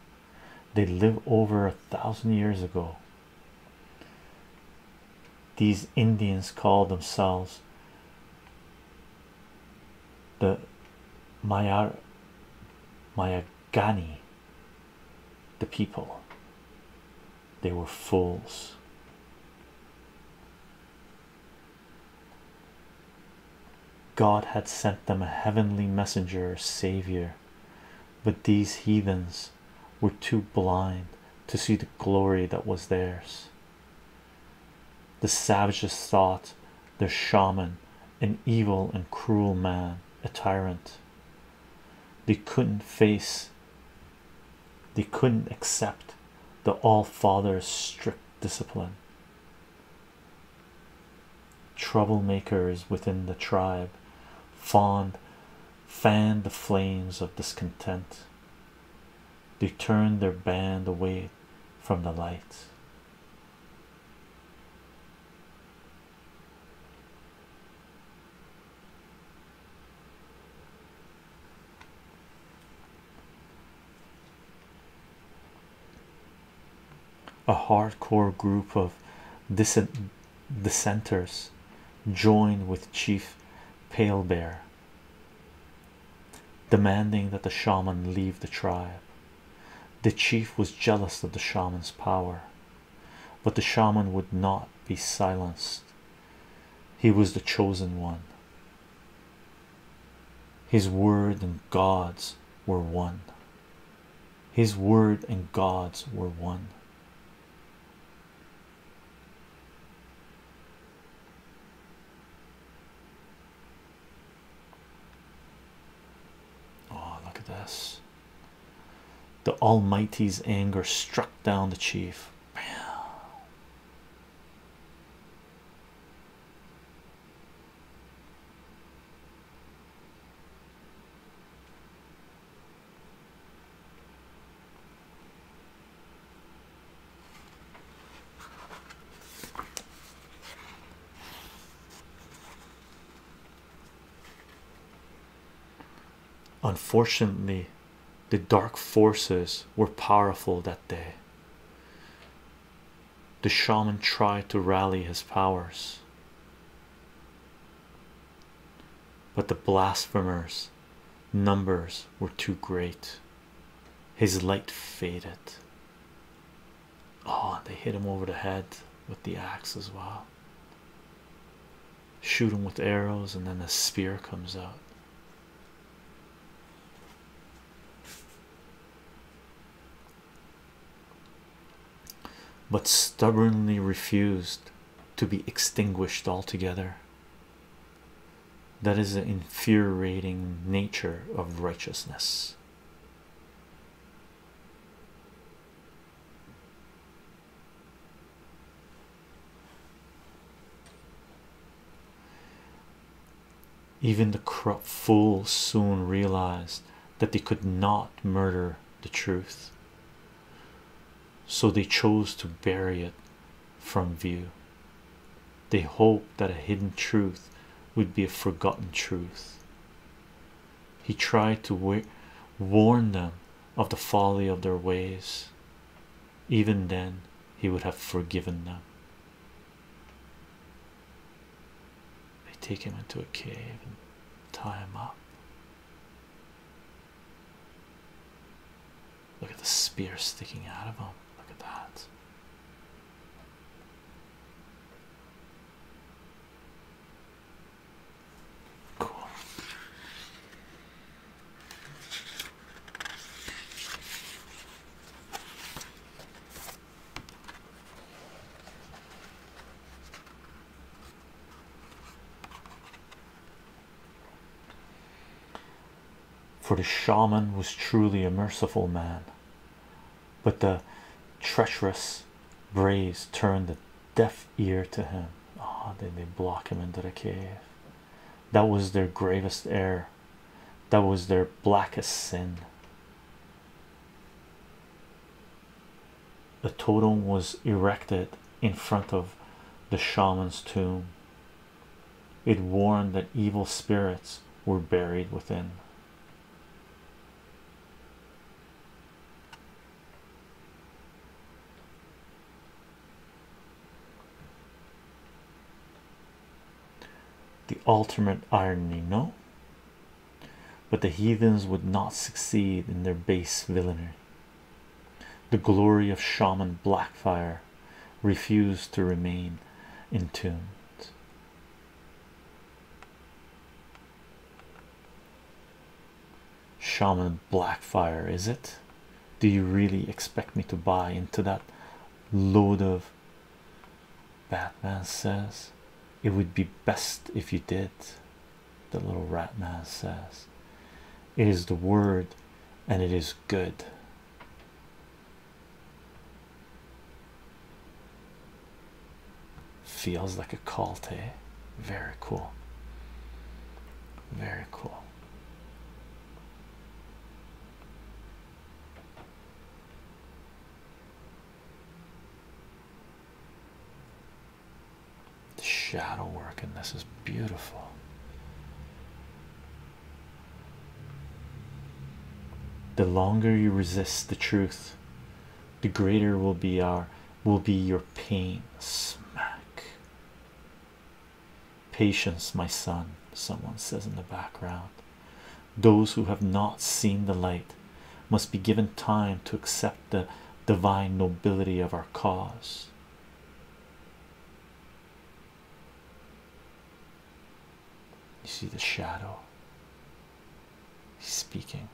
they live over a thousand years ago. These Indians call themselves the Mayar Mayagani, the people they were fools. God had sent them a heavenly messenger or savior, but these heathens were too blind to see the glory that was theirs. The savages thought their shaman an evil and cruel man, a tyrant they couldn't face they couldn't accept the all-father's strict discipline troublemakers within the tribe fond fanned the flames of discontent they turned their band away from the light a hardcore group of dissenters joined with Chief Pale Bear, demanding that the shaman leave the tribe. The chief was jealous of the shaman's power but the shaman would not be silenced. He was the chosen one. His word and God's were one. His word and God's were one. Oh, look at this. The Almighty's anger struck down the chief. Unfortunately, the dark forces were powerful that day. The shaman tried to rally his powers, but the blasphemers' numbers were too great. His light faded. Oh, and they hit him over the head with the axe as well. Shoot him with arrows, and then a spear comes out. But stubbornly refused to be extinguished altogether. That is the infuriating nature of righteousness. Even the corrupt fools soon realized that they could not murder the truth, so they chose to bury it from view. They hoped that a hidden truth would be a forgotten truth. He tried to warn them of the folly of their ways, even then he would have forgiven them. They take him into a cave and tie him up. Look at the spear sticking out of him. Look at that. Cool. For the shaman was truly a merciful man, but the treacherous braves turned the deaf ear to him. Ah, they then they block him into the cave. That was their gravest error. That was their blackest sin. A totem was erected in front of the shaman's tomb. It warned that evil spirits were buried within. The ultimate irony, no? But the heathens would not succeed in their base villainy. The glory of Shaman Blackfire refused to remain entombed shaman blackfire is it do you really expect me to buy into that load of batman says it would be best if you did the little rat man says it is the word and it is good feels like a cult eh very cool very cool the shadow work in this is beautiful. The longer you resist the truth, the greater will be our will be your pain. Smack. Patience, my son, someone says in the background. Those who have not seen the light must be given time to accept the divine nobility of our cause. You see the shadow. speaking.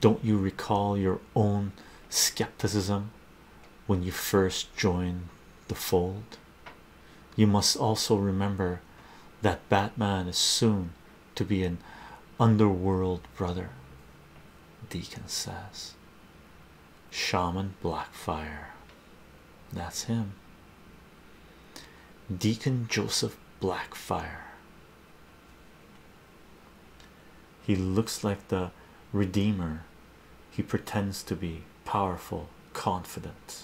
Don't you recall your own skepticism when you first joined the fold? You must also remember that Batman is soon to be an underworld brother, Deacon says. Shaman Blackfire. That's him. Deacon Joseph Blackfire. He looks like the Redeemer. He pretends to be powerful, confident.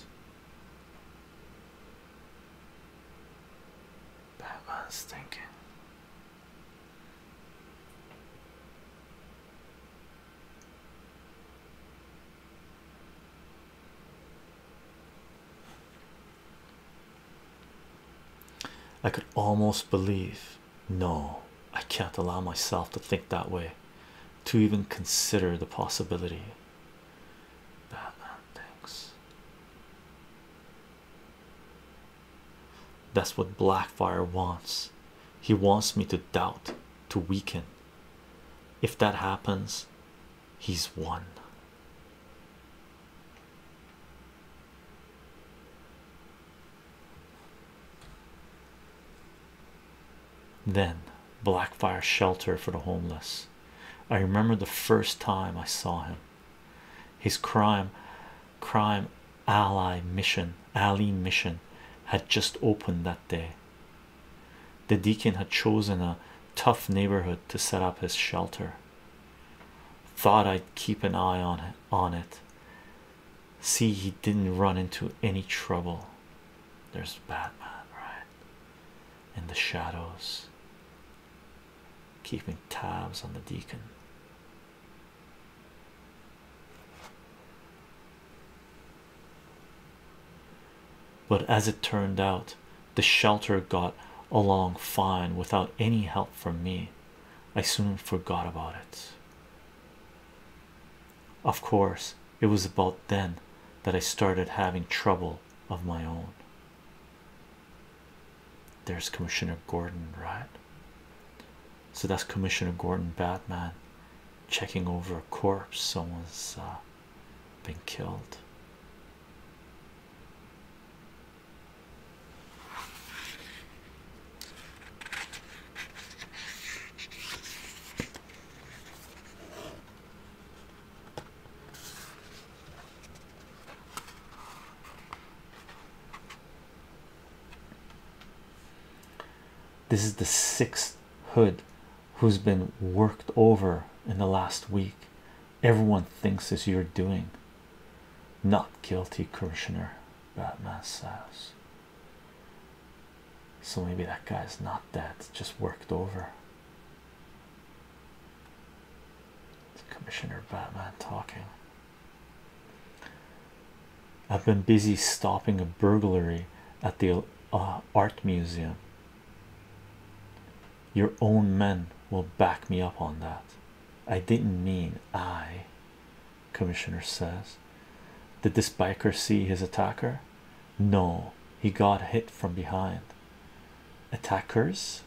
Batman's thinking. I could almost believe no, I can't allow myself to think that way, to even consider the possibility. Batman, thanks. That's what Blackfire wants. He wants me to doubt to weaken. If that happens, he's won. Then Blackfire Shelter for the Homeless. I remember the first time I saw him. His crime crime ally mission alley mission had just opened that day. The deacon had chosen a tough neighborhood to set up his shelter. Thought I'd keep an eye on on it. See he didn't run into any trouble. There's Batman right in the shadows, keeping tabs on the deacon. But as it turned out, the shelter got along fine without any help from me. I soon forgot about it. Of course, it was about then that I started having trouble of my own. There's Commissioner Gordon, right? So that's Commissioner Gordon Batman checking over a corpse. Someone's uh, been killed. This is the sixth hood who's been worked over in the last week. Everyone thinks as you're doing. Not guilty, Commissioner. Batman says. So maybe that guy's not dead, just worked over. It's Commissioner Batman talking. I've been busy stopping a burglary at the uh, art museum. Your own men will back me up on that. I didn't mean I, Commissioner says. Did this biker see his attacker? No, he got hit from behind. Attackers?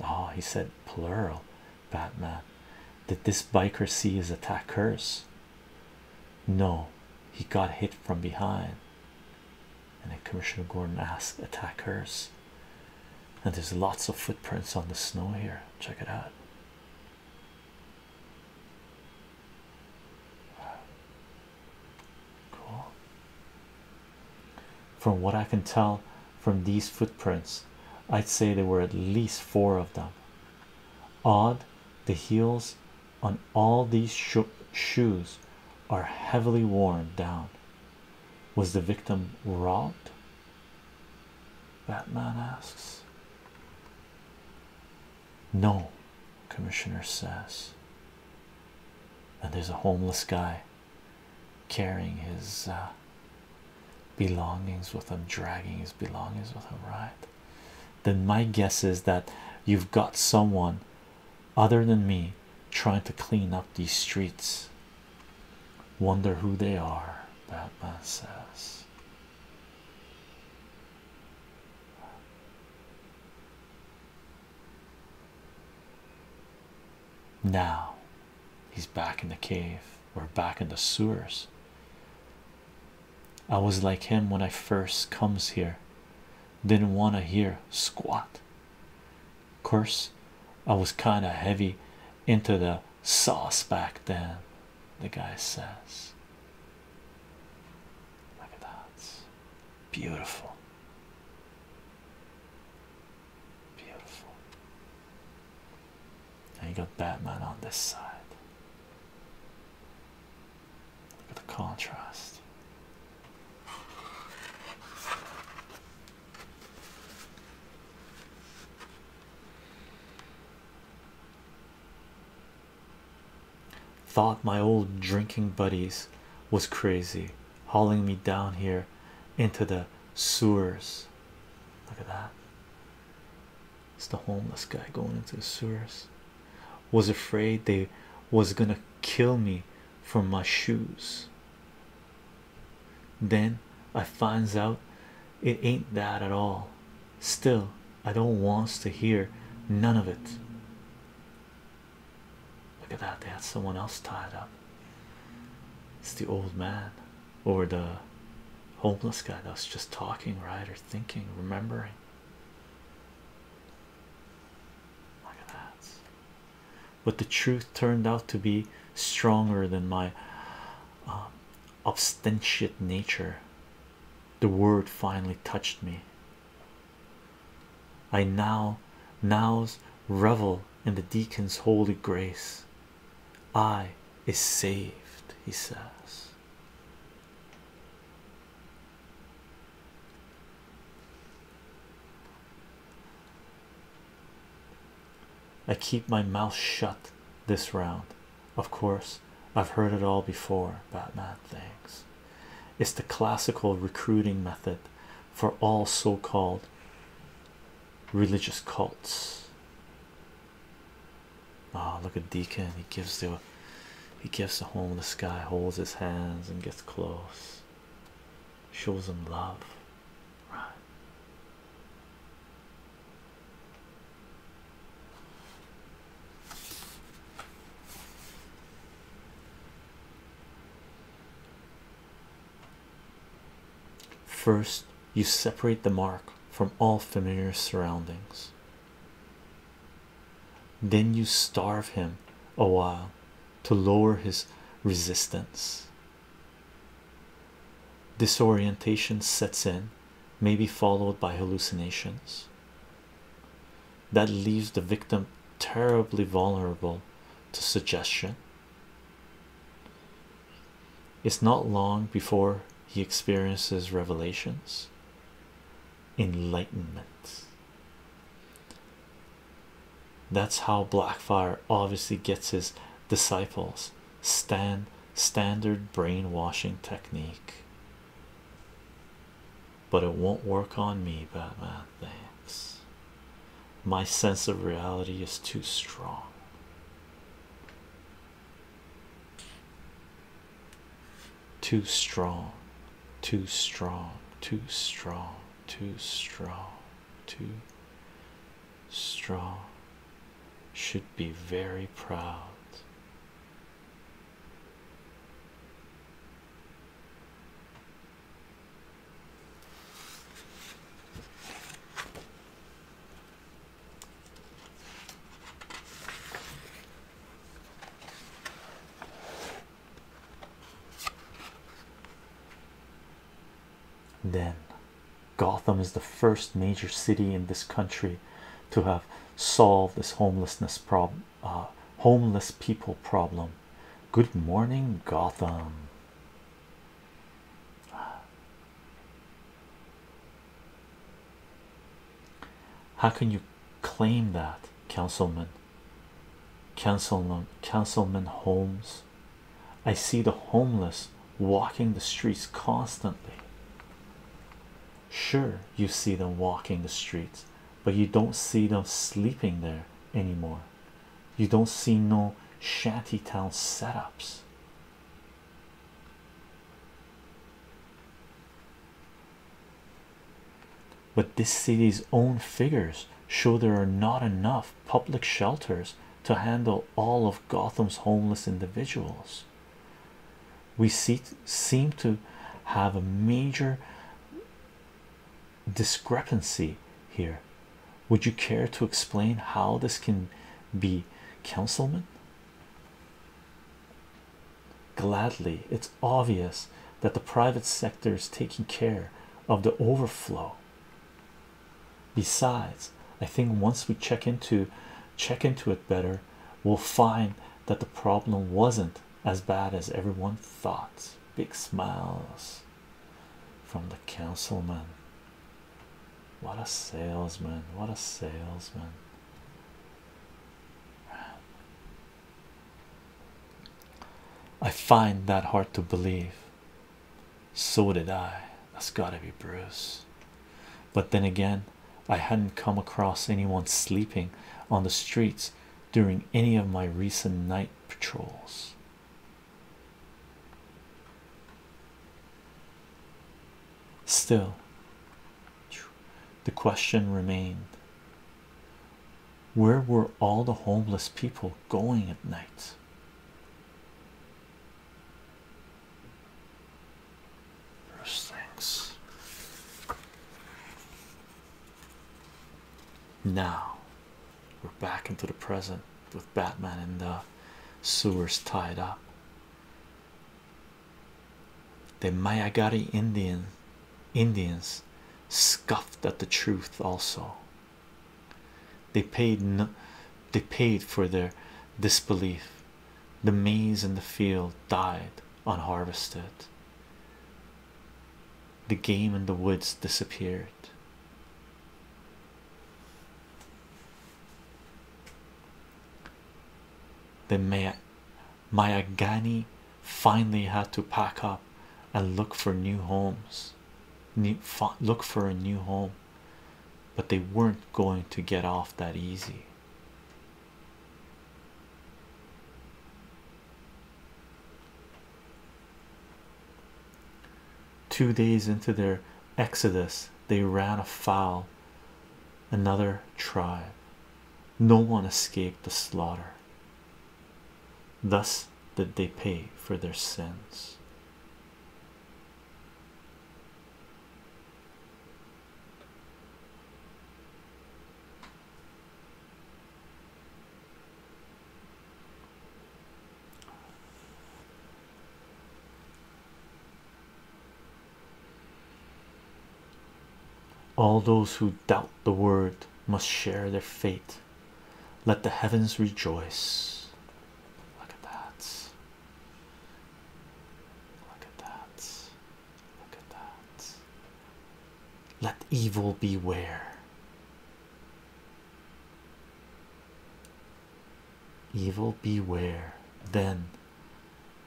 Ah, oh, he said plural. Batman. Did this biker see his attackers? No, he got hit from behind. And then Commissioner Gordon asked attackers. And there's lots of footprints on the snow here. Check it out. Cool. From what I can tell from these footprints, I'd say there were at least four of them. Odd, the heels on all these shoes are heavily worn down. Was the victim robbed? That man asks. No, Commissioner says. And there's a homeless guy carrying his uh, belongings with him, dragging his belongings with him, right? then my guess is that you've got someone other than me trying to clean up these streets. Wonder who they are, Batman says. Now he's back in the cave, we're back in the sewers. I was like him when I first comes here. Didn't want to hear squat. Course, I was kind of heavy into the sauce back then. The guy says, "Look at that, beautiful, beautiful." And you got Batman on this side. Look at the contrast. Thought my old drinking buddies was crazy, hauling me down here into the sewers. Look at that. It's the homeless guy going into the sewers. Was afraid they was gonna kill me for my shoes. Then I finds out it ain't that at all. Still, I don't wants to hear none of it. Look at that, they had someone else tied up. It's the old man or the homeless guy that was just talking, right? Or thinking, remembering. But the truth turned out to be stronger than my um, obstinate nature. The word finally touched me. I now, nows revel in the deacon's holy grace. I is saved, he says. I keep my mouth shut this round. Of course, I've heard it all before. Batman, thanks. It's the classical recruiting method for all so called religious cults. Oh, look at Deacon. He gives the he gives the home. The sky holds his hands, and gets close. Shows him love. Right. First, you separate the mark from all familiar surroundings. Then you starve him a while to lower his resistance. Disorientation sets in, may be followed by hallucinations. That leaves the victim terribly vulnerable to suggestion. It's not long before he experiences revelations enlightenment. That's how Blackfire obviously gets his disciples stand standard brainwashing technique. But it won't work on me, Batman. Thanks. My sense of reality is too strong too strong, too strong, too strong, too strong, too strong. Should be very proud. Then Gotham is the first major city in this country to have solved this homelessness problem, uh, homeless people problem. Good morning, Gotham. How can you claim that, Councilman? Councilman, Councilman Holmes. I see the homeless walking the streets constantly. Sure, you see them walking the streets, but you don't see them sleeping there anymore. You don't see no shanty shantytown setups. But this city's own figures show there are not enough public shelters to handle all of Gotham's homeless individuals. We seem to have a major discrepancy here. Would you care to explain how this can be, councilman? gladly it's obvious that the private sector is taking care of the overflow besides i think once we check into check into it better we'll find that the problem wasn't as bad as everyone thought big smiles from the councilman what a salesman what a salesman I find that hard to believe. So did I. That's gotta be Bruce. But then again, I hadn't come across anyone sleeping on the streets during any of my recent night patrols. Still, the question remained where were all the homeless people going at night? First things now we're back into the present with Batman and the sewers tied up. The Mayagari Indian Indians scoffed at the truth also. They paid they paid for their disbelief. The maize in the field died unharvested. The game in the woods disappeared. The May Mayagani finally had to pack up and look for new homes look for a new home but they weren't going to get off that easy two days into their exodus they ran afoul another tribe no one escaped the slaughter Thus did they pay for their sins. All those who doubt the word must share their fate. Let the heavens rejoice. Look at that. Look at that. Look at that. Let evil beware. Evil beware. Then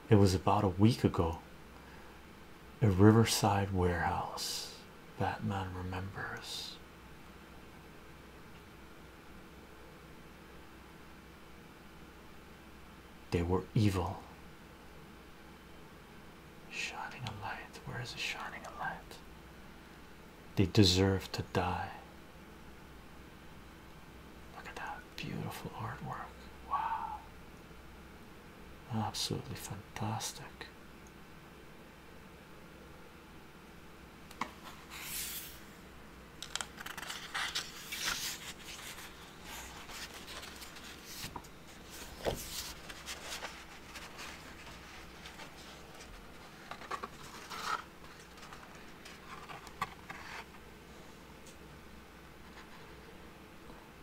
it was about a week ago a riverside warehouse. Batman remembers. They were evil. Shining a light. Where is it shining a light? They deserve to die. Look at that beautiful artwork. Wow. Absolutely fantastic. Plastic.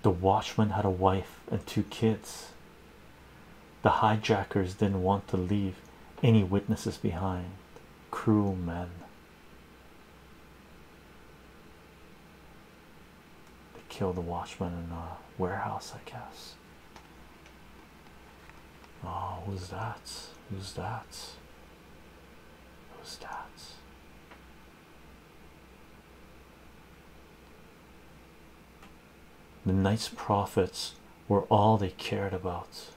The watchman had a wife and two kids. The hijackers didn't want to leave any witnesses behind. Cruel men. They killed the watchman in a warehouse, I guess. Oh, who's that? Who's that? Who's that? The night's profits were all they cared about.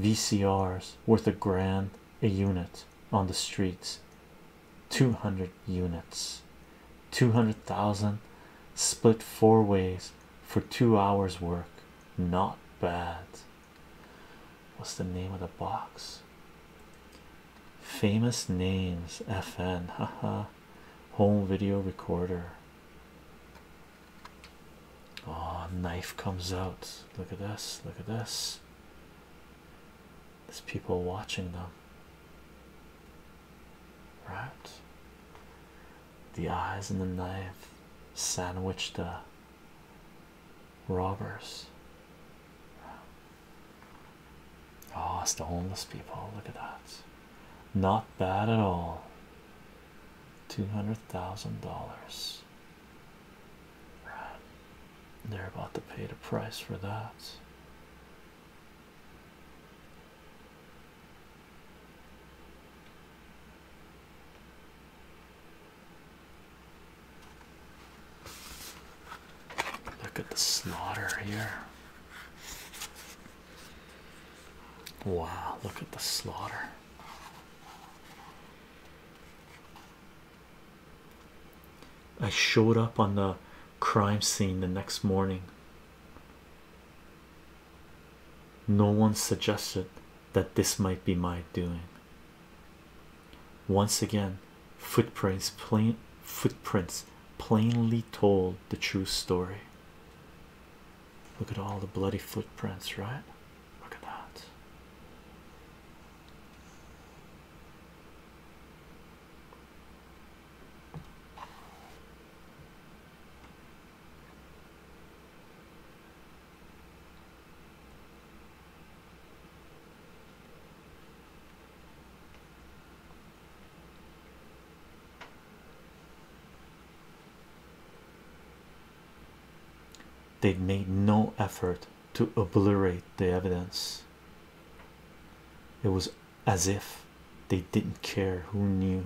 VCRs worth a grand a unit on the streets, 200 units, 200,000 split four ways for two hours' work. Not bad. What's the name of the box? famous names fn haha home video recorder oh knife comes out look at this look at this there's people watching them right the eyes and the knife sandwich the robbers Oh, ah, it's the homeless people. Look at that. Not bad at all. Two hundred thousand dollars. They're about to pay the price for that. Look at the slaughter here. Wow, look at the slaughter. I showed up on the crime scene the next morning. No one suggested that this might be my doing. Once again, Footprints plain footprints plainly told the true story. Look at all the bloody footprints, right? Look at that they made no effort to obliterate the evidence. It was as if they didn't care who knew.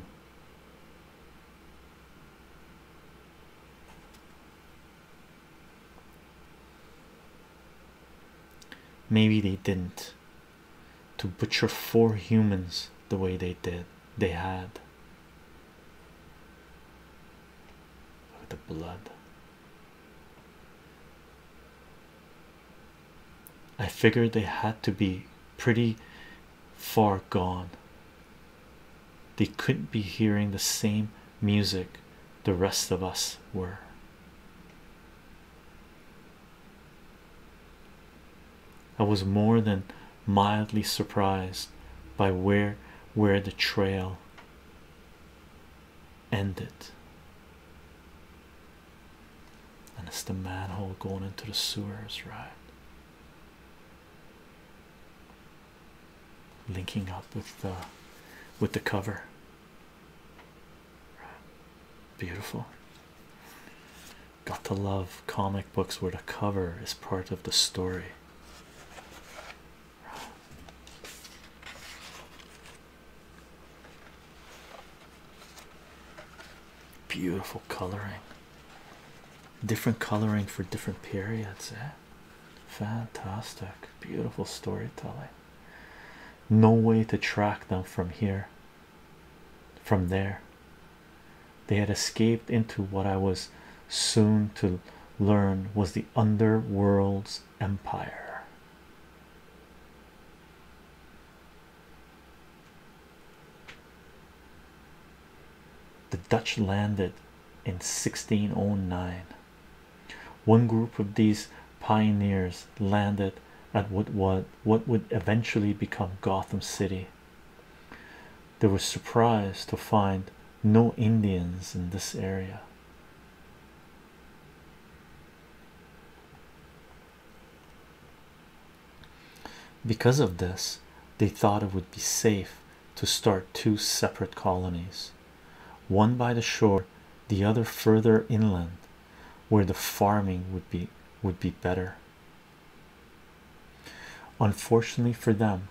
Maybe they didn't to butcher four humans the way they did. They had Look the blood. I figured they had to be pretty far gone. They couldn't be hearing the same music the rest of us were. I was more than mildly surprised by where where the trail ended. And it's the manhole going into the sewers, right? Linking up with the with the cover. Beautiful. Got to love comic books where the cover is part of the story. Beautiful coloring, different coloring for different periods. Eh? Fantastic, beautiful storytelling no way to track them from here from there they had escaped into what i was soon to learn was the underworld's empire the dutch landed in 1609 one group of these pioneers landed at what was what would eventually become Gotham City. They were surprised to find no Indians in this area. Because of this, they thought it would be safe to start two separate colonies, one by the shore, the other further inland, where the farming would be would be better unfortunately for them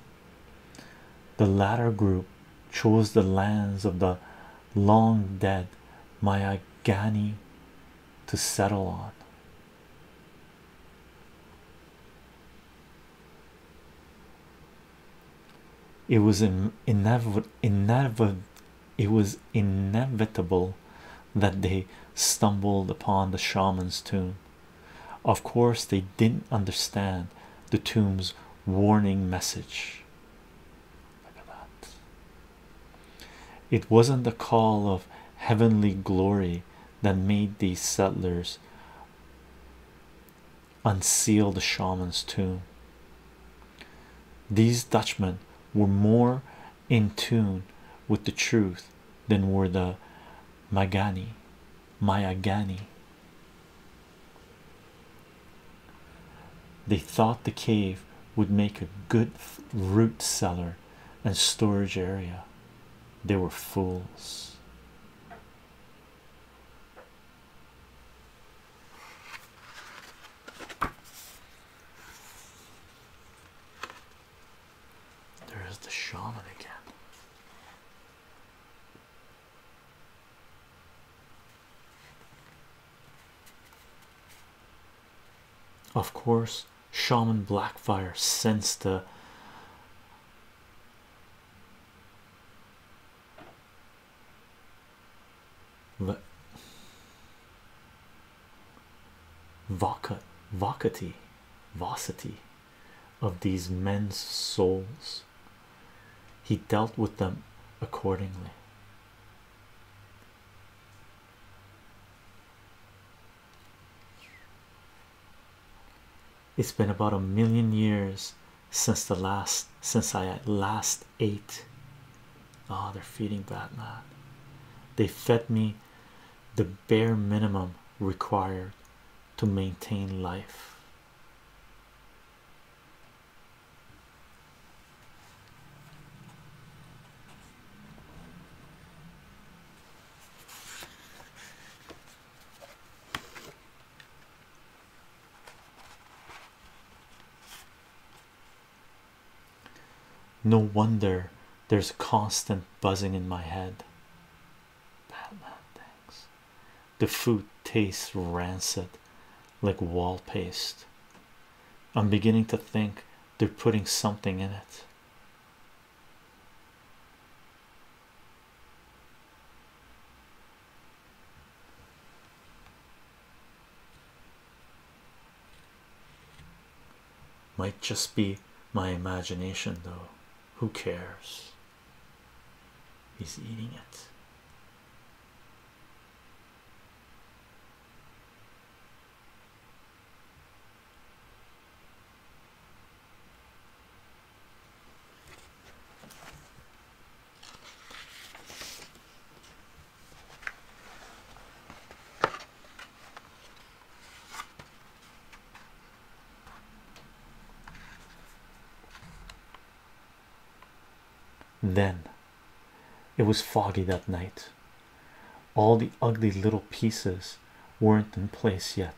the latter group chose the lands of the long dead Mayagani to settle on it was an inev inev it was inevitable that they stumbled upon the shaman's tomb. Of course, they didn't understand the tomb's warning message. It wasn't the call of heavenly glory that made these settlers unseal the shaman's tomb. These Dutchmen were more in tune with the truth than were the Magani, Mayagani. They thought the cave would make a good root cellar and storage area. They were fools. There's the shaman again. Of course, Shaman Blackfire sensed the Vocat, vocati, vocity of these men's souls. He dealt with them accordingly. It's been about a million years since the last since I last last eight. Oh, they're feeding Batman. They fed me the bare minimum required to maintain life. No wonder there's constant buzzing in my head. Batman, thanks. The food tastes rancid like wall paste. I'm beginning to think they're putting something in it. Might just be my imagination, though. Who cares? He's eating it. Then it was foggy that night. All the ugly little pieces weren't in place yet,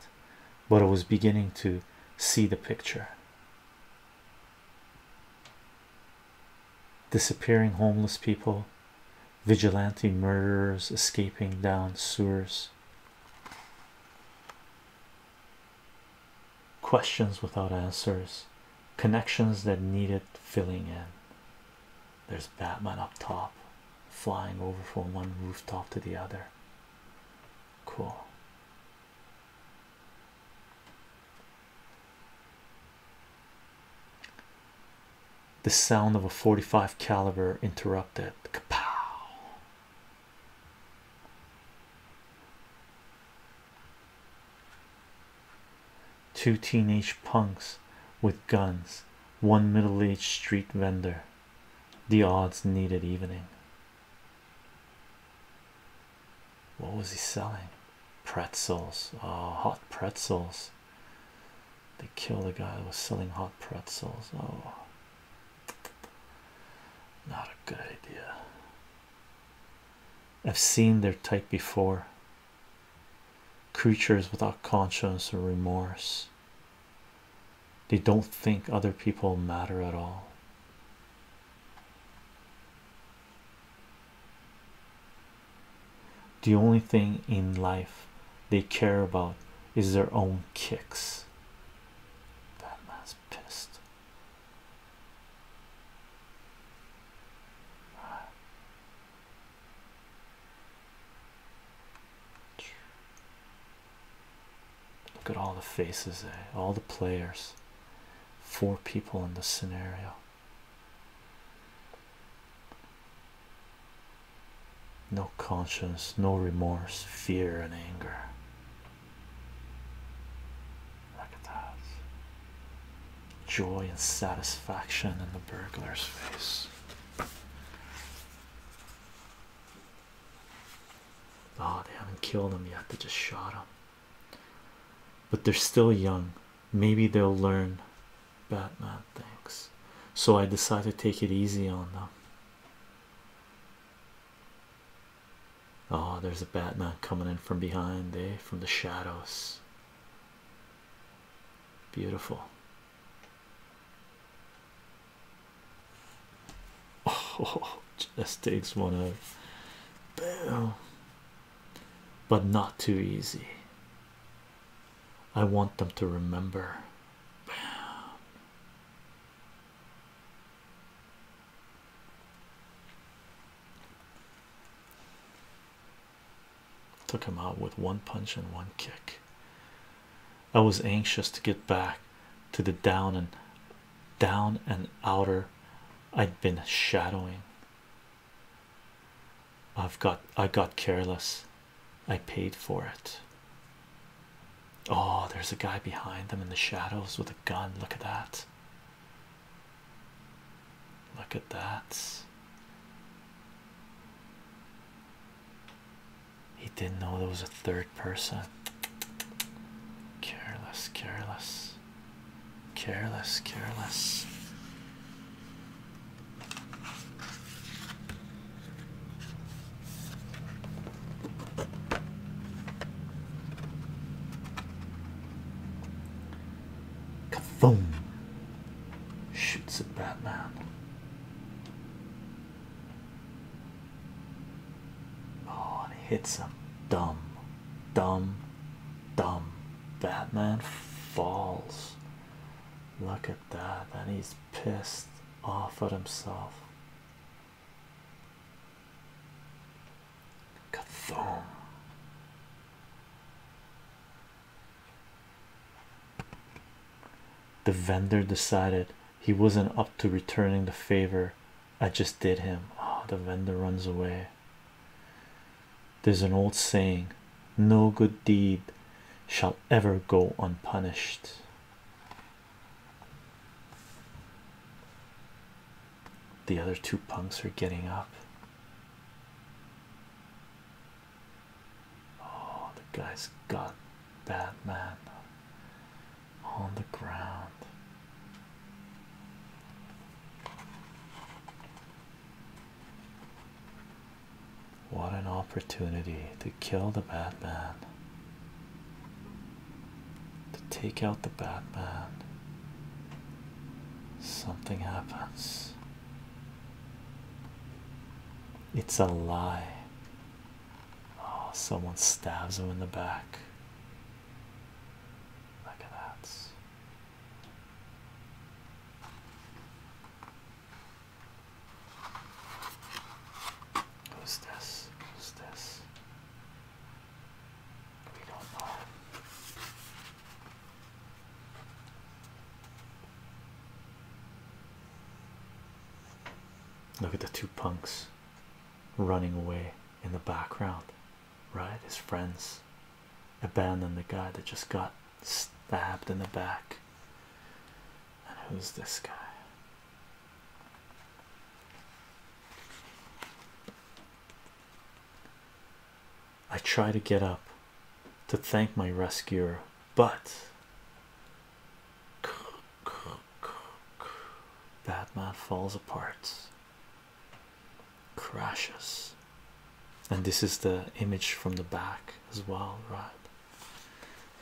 but I was beginning to see the picture. Disappearing homeless people, vigilante murderers escaping down sewers. Questions without answers, connections that needed filling in. There's Batman up top, flying over from one rooftop to the other. Cool the sound of a 45 caliber interrupted Kapow. two teenage punks with guns one middle-aged street vendor the odds needed evening what was he selling pretzels oh, hot pretzels they killed a guy who was selling hot pretzels. Oh, not a good idea. I've seen their type before. Creatures without conscience or remorse. They don't think other people matter at all. The only thing in life they care about is their own kicks. Batman's pissed. Look at all the faces, eh? all the players. Four people in the scenario. No conscience, no remorse, fear, and anger. Look at that joy and satisfaction in the burglar's face. Oh, they haven't killed him yet, they just shot him. But they're still young, maybe they'll learn Batman thinks So I decide to take it easy on them. Oh, there's a Batman coming in from behind, there, eh? From the shadows. Beautiful. Oh, just takes one out. Boom. But not too easy. I want them to remember. Took him out with one punch and one kick. I was anxious to get back to the down and down and outer I'd been shadowing. I've got I got careless. I paid for it. Oh, there's a guy behind them in the shadows with a gun. Look at that. Look at that. He didn't know there was a third person. Careless, careless, careless, careless. Kafoom! Shoots at Batman. Oh, and hits him. Dumb, dumb, dumb. Batman falls. Look at that and he's pissed off at himself. Kathom. The vendor decided he wasn't up to returning the favor I just did him. Oh, the vendor runs away. There's an old saying, no good deed shall ever go unpunished. The other two punks are getting up. Oh, the guy's got Batman on the ground. What an opportunity to kill the Batman, to take out the Batman. Something happens. It's a lie. Oh, someone stabs him in the back. Look at that. Who's this? Who's this? We don't know. Look at the two punks running away in the background, right? His friends abandon the guy that just got stabbed in the back. And who's this guy? I try to get up to thank my rescuer, but that man falls apart, crashes, and this is the image from the back as well, right?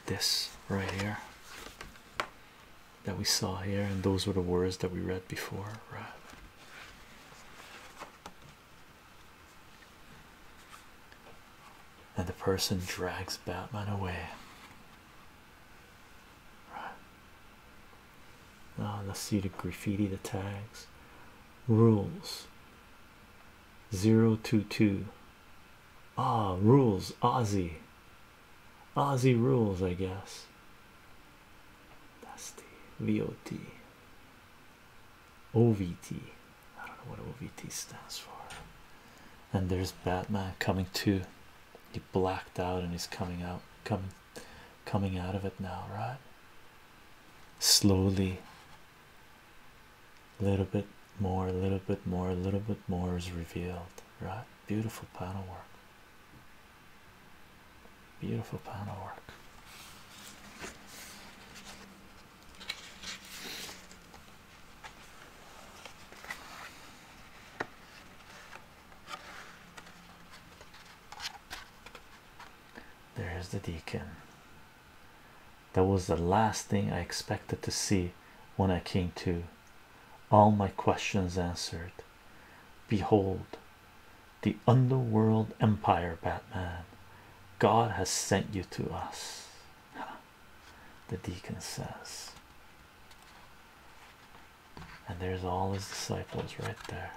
this right here that we saw here, and those were the words that we read before, And the person drags Batman away. Right. let's ah, see the graffiti, the tags, rules, 022 ah rules Aussie Aussie rules I guess that's the VOT OVT I don't know what OVT stands for and there's Batman coming too. he blacked out and he's coming out coming coming out of it now right slowly a little bit more a little bit more a little bit more is revealed right beautiful panel work beautiful panel work there's the deacon that was the last thing I expected to see when I came to. All my questions answered. Behold, the underworld empire, Batman. God has sent you to us. The deacon says, and there's all his disciples right there.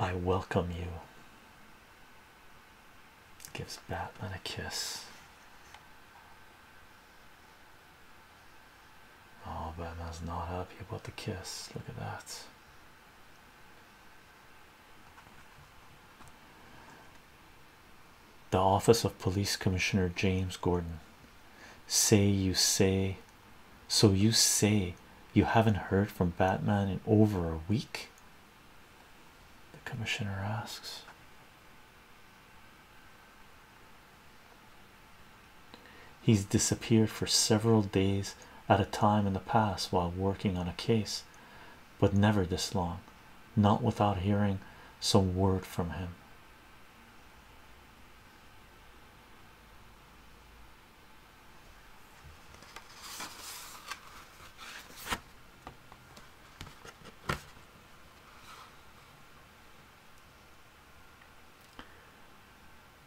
I welcome you. Gives Batman a kiss. Oh, Batman's not happy about the kiss. Look at that. The office of Police Commissioner James Gordon. Say you say so you say you haven't heard from Batman in over a week? The commissioner asks. He's disappeared for several days at a time in the past while working on a case, but never this long, not without hearing some word from him.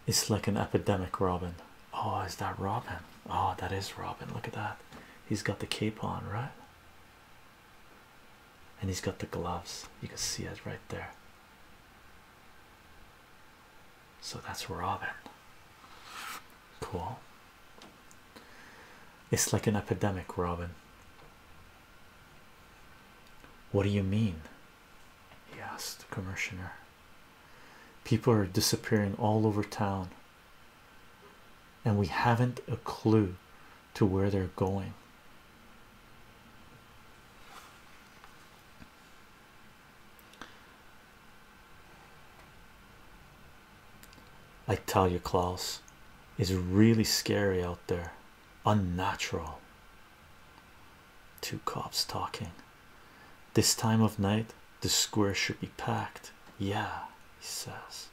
It's like an epidemic, Robin. Oh, is that Robin? Oh, that is Robin. Look at that. He's got the cape on, right? And he's got the gloves. You can see it right there. So that's Robin. Cool. It's like an epidemic, Robin. What do you mean? He asked the commissioner. People are disappearing all over town, and we haven't a clue to where they're going. I tell you, Klaus is really scary out there, unnatural. Two cops talking this time of night. The square should be packed, yeah, he says.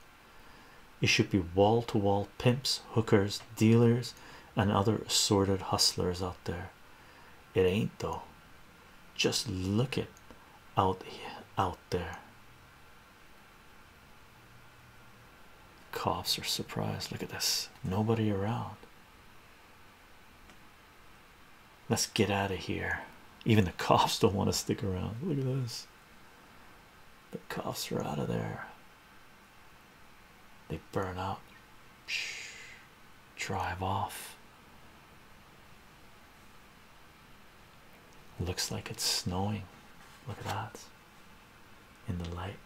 It should be wall to wall pimps, hookers, dealers, and other assorted hustlers out there it ain't though just look it out out there Cops are surprised look at this nobody around let's get out of here even the cops don't want to stick around look at this the cops are out of there they burn out drive off. Looks like it's snowing. Look at that in the light.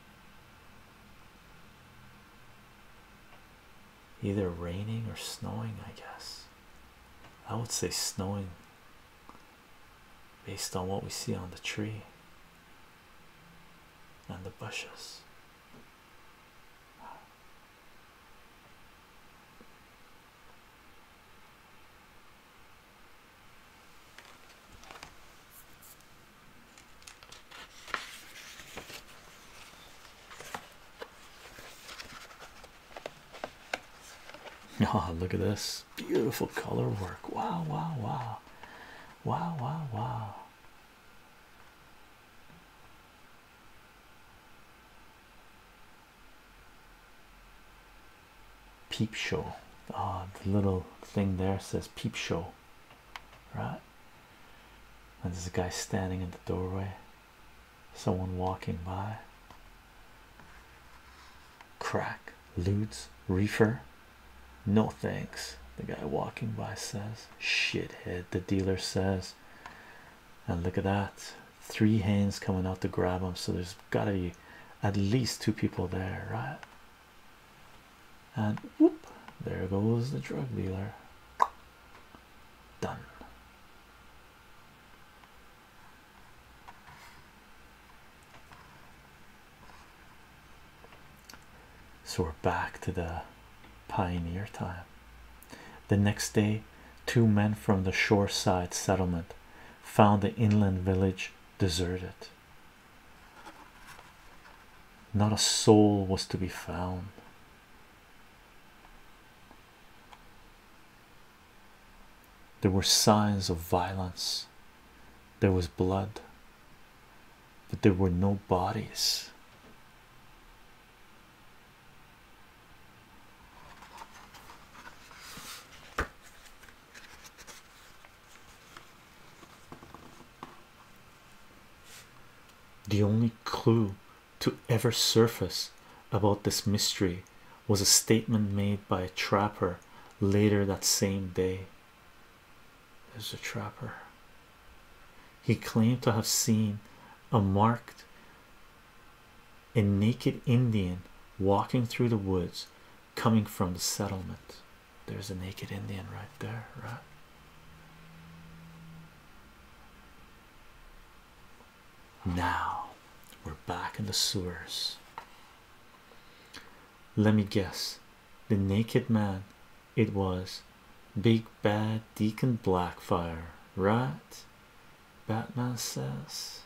Either raining or snowing, I guess. I would say snowing based on what we see on the tree and the bushes. Oh, look at this beautiful color work! Wow, wow, wow, wow, wow, wow. Peep show. Oh, the little thing there says peep show, right? And there's a guy standing in the doorway, someone walking by. Crack, ludes, reefer. No thanks, the guy walking by says shithead the dealer says and look at that three hands coming out to grab him so there's got to be at least two people there right and whoop there goes the drug dealer done so we're back to the pioneer time. The next day, two men from the shore side settlement found the inland village deserted. Not a soul was to be found. There were signs of violence. There was blood, but there were no bodies. The only clue to ever surface about this mystery was a statement made by a trapper later that same day. There's a trapper he claimed to have seen a marked a naked Indian walking through the woods coming from the settlement. There's a naked Indian right there, right? Now we're back in the sewers. Let me guess the naked man it was big bad deacon blackfire right batman says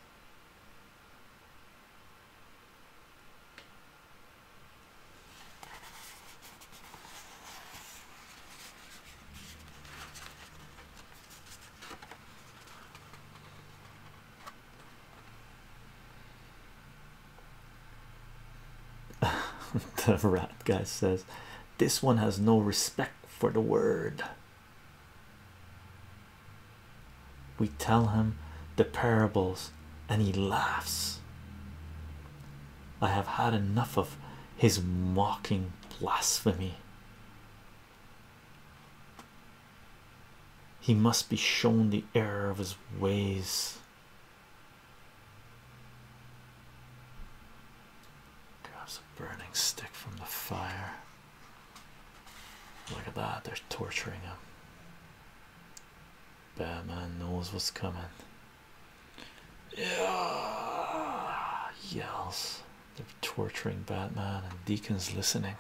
the rat guy says this one has no respect for the word. We tell him the parables and he laughs. I have had enough of his mocking blasphemy. He must be shown the error of his ways. Grabs a burning stick from the fire. Look at that, they're torturing him. Batman knows what's coming. Yeah, yells. They're torturing Batman, and Deacon's listening.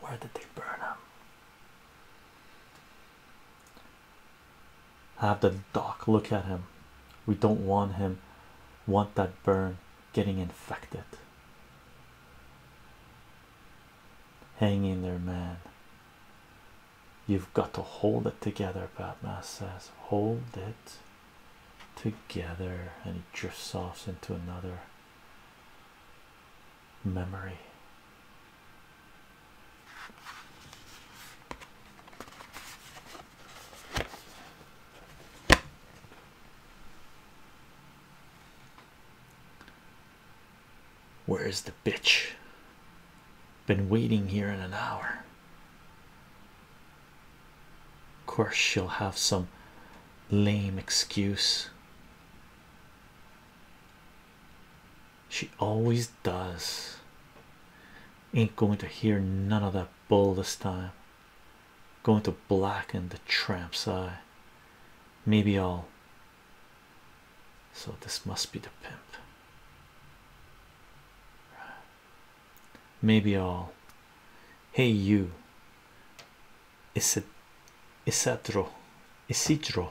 Where did they burn him? Have the doc look at him. We don't want him, want that burn getting infected. Hanging there, man. You've got to hold it together, Batman says. Hold it together, and he drifts off into another memory. Where is the bitch? Been waiting here in an hour. Of course, she'll have some lame excuse. She always does. Ain't going to hear none of that bull this time. Going to blacken the tramp's eye. Maybe I'll so this must be the pimp. Maybe I'll. Hey you. Is it? Is true? Is it true?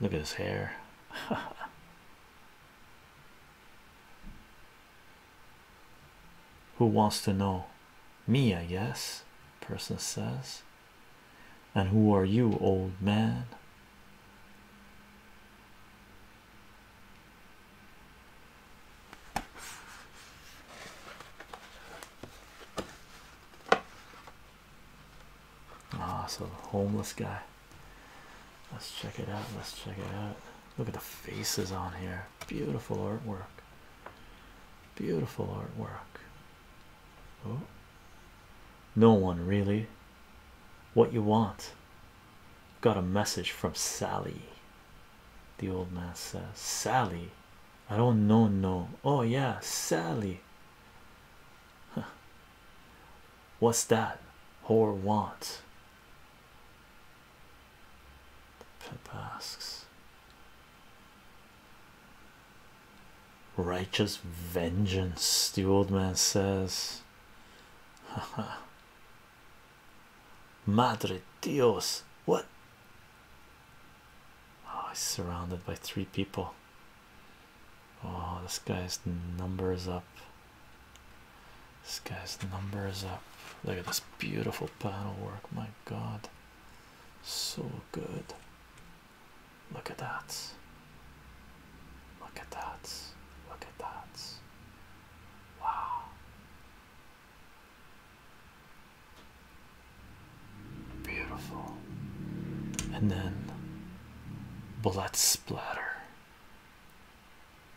Look at his hair. Who wants to know? me i guess person says and who are you old man ah so homeless guy let's check it out let's check it out look at the faces on here beautiful artwork Beautiful artwork. Oh. No one really. What you want? Got a message from Sally. The old man says, Sally, I don't know. No, oh, yeah, Sally. What's that? Whore wants? The asks. Righteous vengeance, the old man says. Madre Dios, what? Oh, he's surrounded by three people. Oh, this guy's numbers up. This guy's numbers up. Look at this beautiful panel work, my god. So good. Look at that. Look at that. Look at that. Wow. Beautiful. And then blood splatter.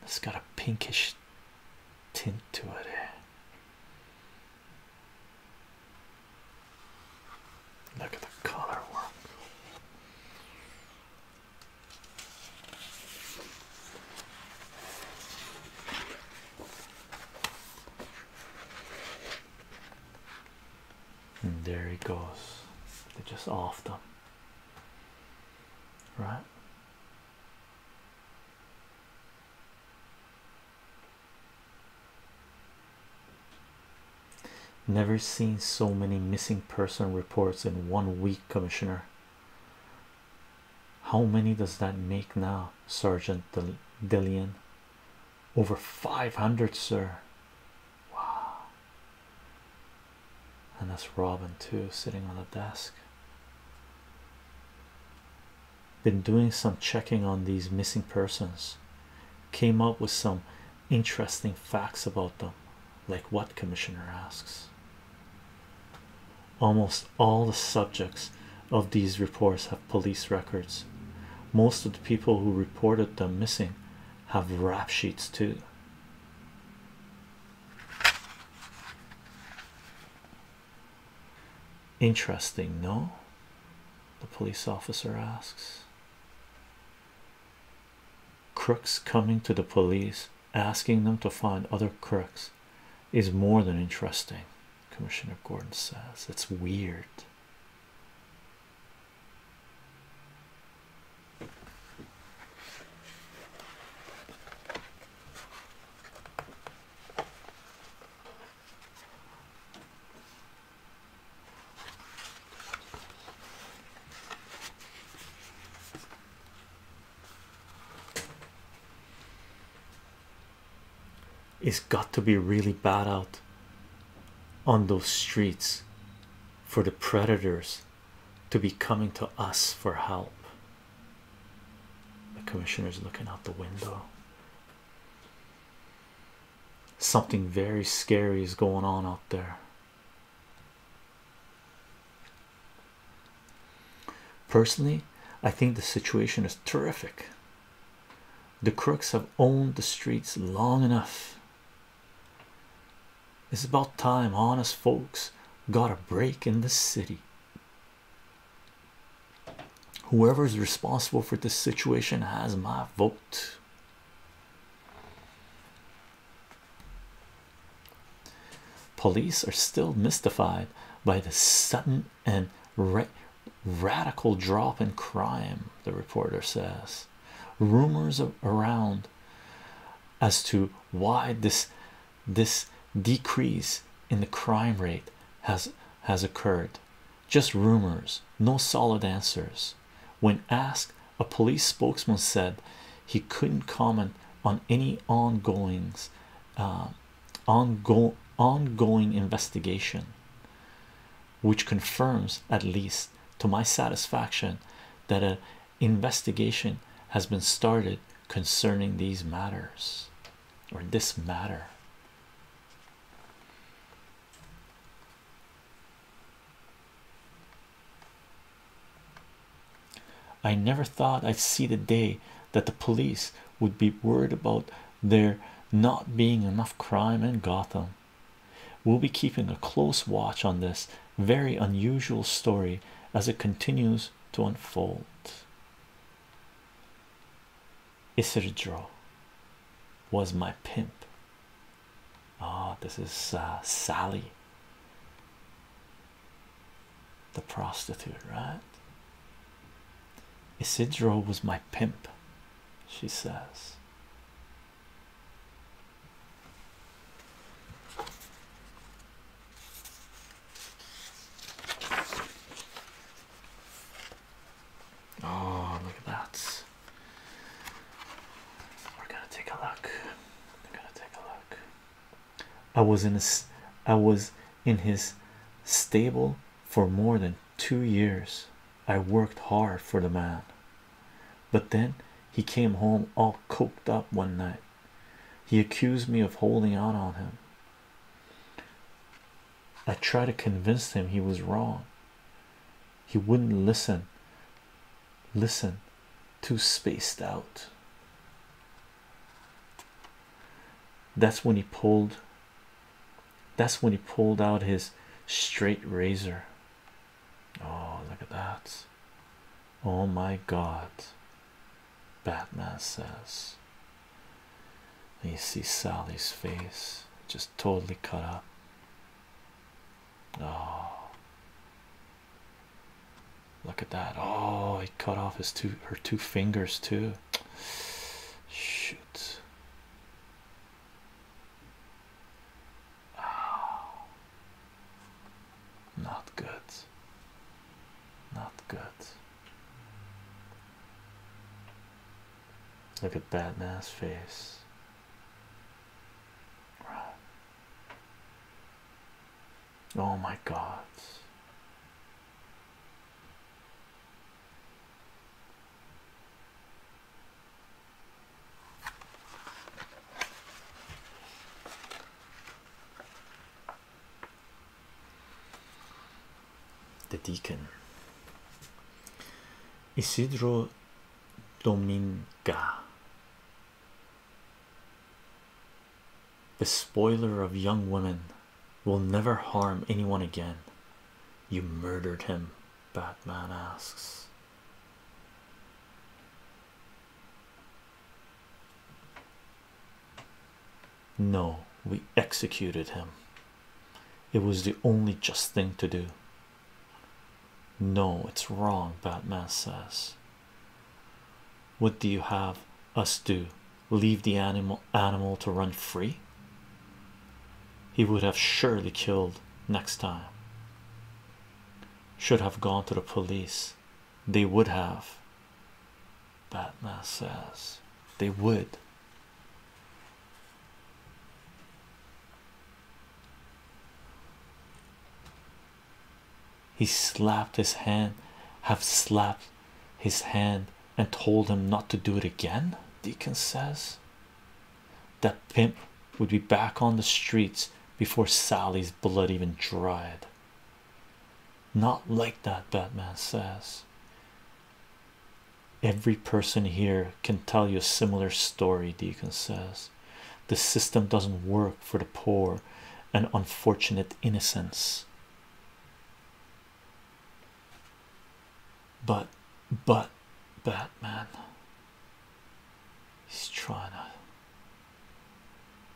It's got a pinkish tint to it. Look at the color work. And there he goes. just after, Right? Never seen so many missing person reports in one week, Commissioner. How many does that make now, Sergeant Del Over 500, sir. Wow, and that's Robin, too, sitting on the desk been doing some checking on these missing persons came up with some interesting facts about them like what commissioner asks almost all the subjects of these reports have police records most of the people who reported them missing have rap sheets too Interesting, no? The police officer asks. Crooks coming to the police asking them to find other crooks is more than interesting, Commissioner Gordon says. It's weird. It's got to be really bad out on those streets for the predators to be coming to us for help. The commissioner's looking out the window. Something very scary is going on out there. Personally, I think the situation is terrific. The crooks have owned the streets long enough. It's about time honest folks got a break in the city. Whoever is responsible for this situation has my vote. Police are still mystified by the sudden and radical drop in crime, the reporter says. Rumors of around as to why this this decrease in the crime rate has has occurred just rumors, no solid answers. When asked, a police spokesman said he couldn't comment on any ongoings, uh, ongoing investigation, which confirms, at least to my satisfaction, that an investigation has been started concerning these matters or this matter. I never thought I'd see the day that the police would be worried about there not being enough crime in Gotham. We'll be keeping a close watch on this very unusual story as it continues to unfold. Isidro was my pimp. Ah, oh, this is uh, Sally, the prostitute, right? Isidro was my pimp, she says. Oh, look at that. We're gonna take a look. We're gonna take a look. I was in a, I was in his stable for more than two years. I worked hard for the man, but then he came home all coked up one night. He accused me of holding out on him. I tried to convince him he was wrong. He wouldn't listen. Listen, too spaced out. That's when he pulled. That's when he pulled out his straight razor. Oh, look at that! Oh my God! Batman says you see Sally's face just totally cut up. Oh, look at that! Oh, he cut off his two her two fingers too. Shoot. Oh, not good. Not good. Look at that Batman's face. Oh my God the deacon Isidro Dominga, the spoiler of young women, will never harm anyone again. You murdered him, Batman asks. No, we executed him, it was the only just thing to do. No, it's wrong, Batman says. What do you have us do? Leave the animal animal to run free? He would have surely killed next time. Should have gone to the police. They would have. Batman says they would he slapped his hand, have slapped his hand, and told him not to do it again. Deacon says that pimp would be back on the streets before Sally's blood even dried. Not like that, Batman says. Every person here can tell you a similar story, Deacon says. The system doesn't work for the poor and unfortunate innocence." But, but, Batman, he's trying to,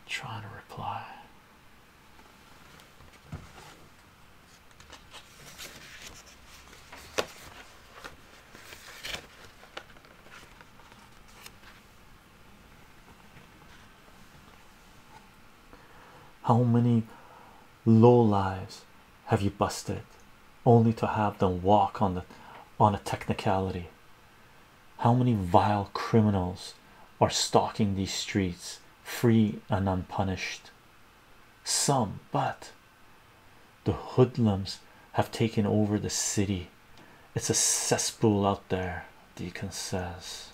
trying to reply. How many low lives have you busted only to have them walk on the on a technicality? How many vile criminals are stalking these streets free and unpunished? Some, but the hoodlums have taken over the city. It's a cesspool out there, Deacon says.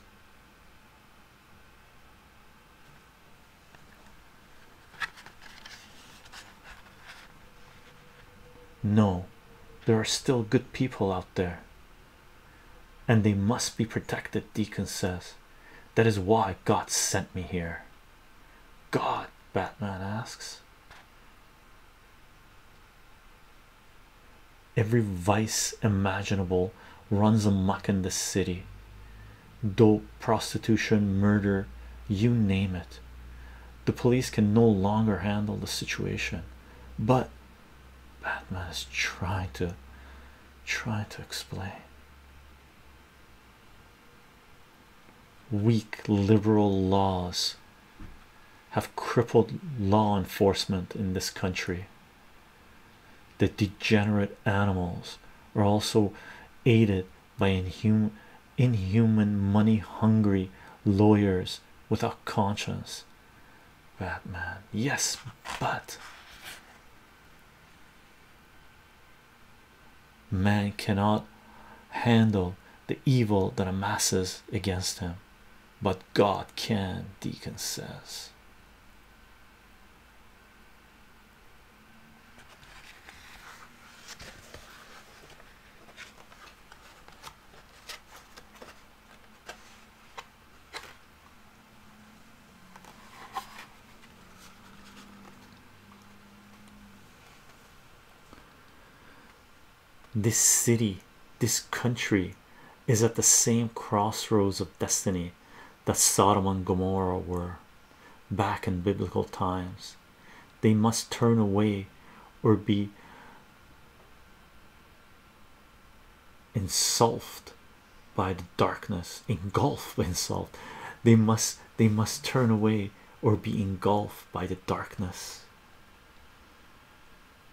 No, there are still good people out there, and they must be protected, Deacon says. That is why God sent me here. God? Batman asks. Every vice imaginable runs amuck in this city dope, prostitution, murder you name it. The police can no longer handle the situation, but Batman is trying to try to explain weak liberal laws have crippled law enforcement in this country. The degenerate animals are also aided by inhuman, inhuman money hungry lawyers without conscience. Batman, yes, but man cannot handle the evil that amasses against him, but God can, Deacon says. This city, this country is at the same crossroads of destiny that Sodom and Gomorrah were back in biblical times. They must turn away or be engulfed by the darkness, engulfed by insult. They must they must turn away or be engulfed by the darkness.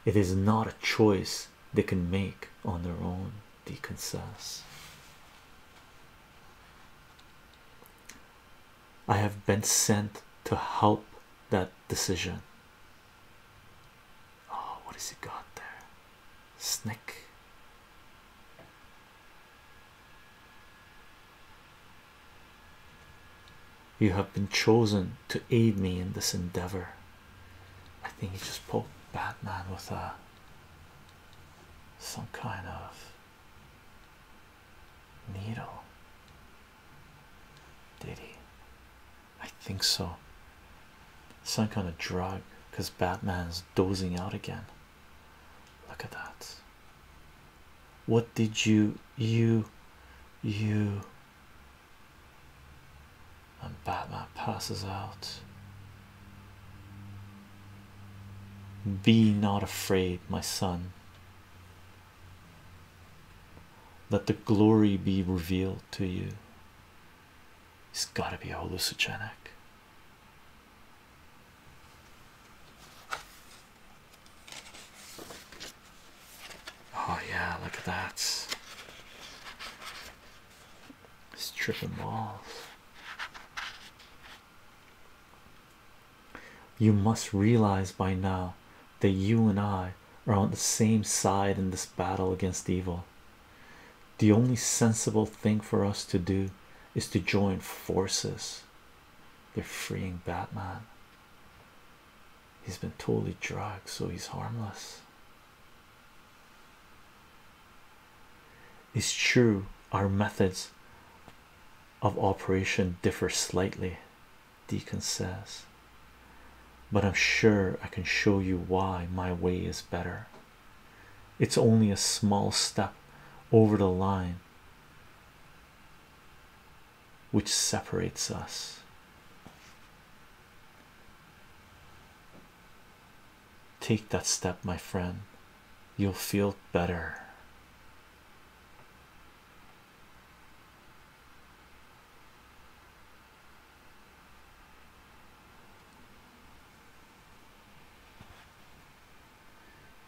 It is not a choice they can make on their own, Deacon says. I have been sent to help that decision. Oh, what has he got there? Snick. You have been chosen to aid me in this endeavor. I think he just pulled Batman with a uh, some kind of needle. Did he? I think so. Some on a drug because Batman's dozing out again. Look at that. What did you, you, you? And Batman passes out. Be not afraid, my son. Let the glory be revealed to you. It's got to be hallucinogenic. Oh yeah, look at that. Strip them all. You must realize by now that you and I are on the same side in this battle against evil. The only sensible thing for us to do is to join forces they're freeing Batman. He's been totally drugged, so he's harmless. It's true, our methods of operation differ slightly, Deacon says, but I'm sure I can show you why my way is better. It's only a small step over the line which separates us. Take that step, my friend, you'll feel better.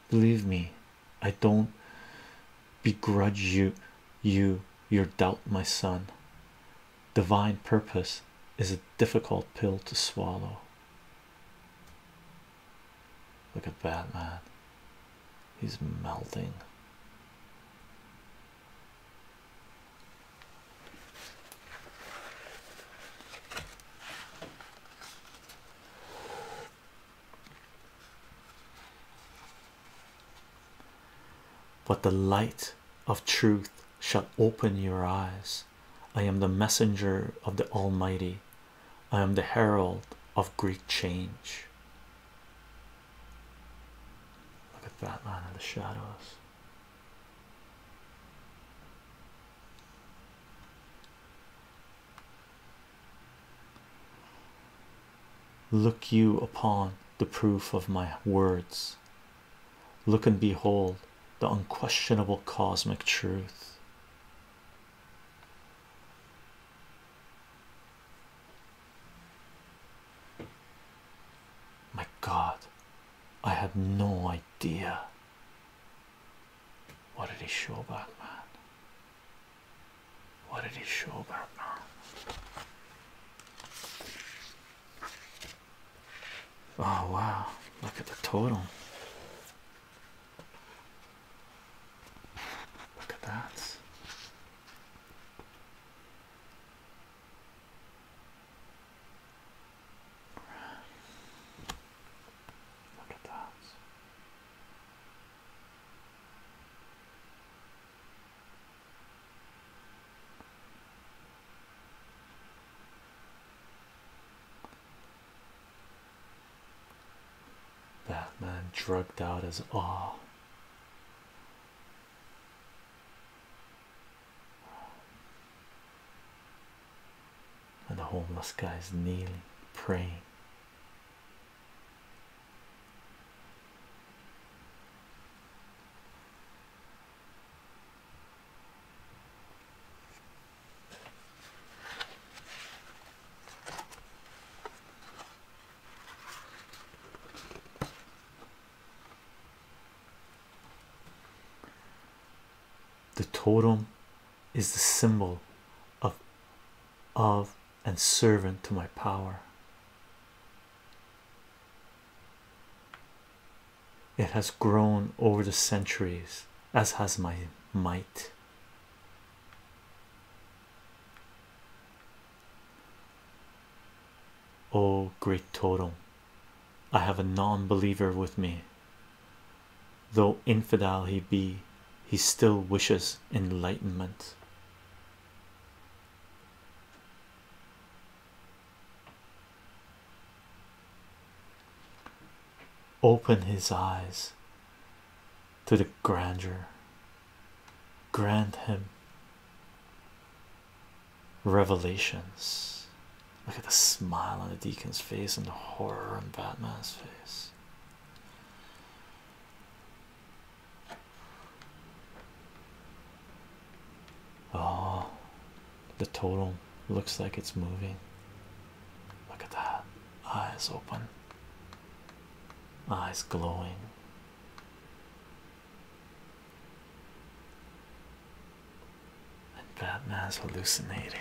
Believe me, I don't begrudge you you your doubt, my son. Divine purpose is a difficult pill to swallow. Look at that man. he's melting. But the light of truth shall open your eyes. I am the messenger of the Almighty, I am the herald of great change. Look at that line of the shadows. Look you upon the proof of my words. Look and behold the unquestionable cosmic truth. My God, I had no idea what did he show Batman? What did he show Batman? Oh wow, look at the total. Look at that. Look at that. man drugged out as awe. And the homeless guy is kneeling, praying. The totem is the symbol of of and servant to my power. It has grown over the centuries, as has my might. O great totem, I have a non believer with me though infidel he be, he still wishes enlightenment. Open his eyes to the grandeur, grant him revelations. Look at the smile on the deacon's face and the horror on Batman's face. Oh, the total looks like it's moving. Look at that. Eyes open, eyes glowing. And Batman's hallucinating.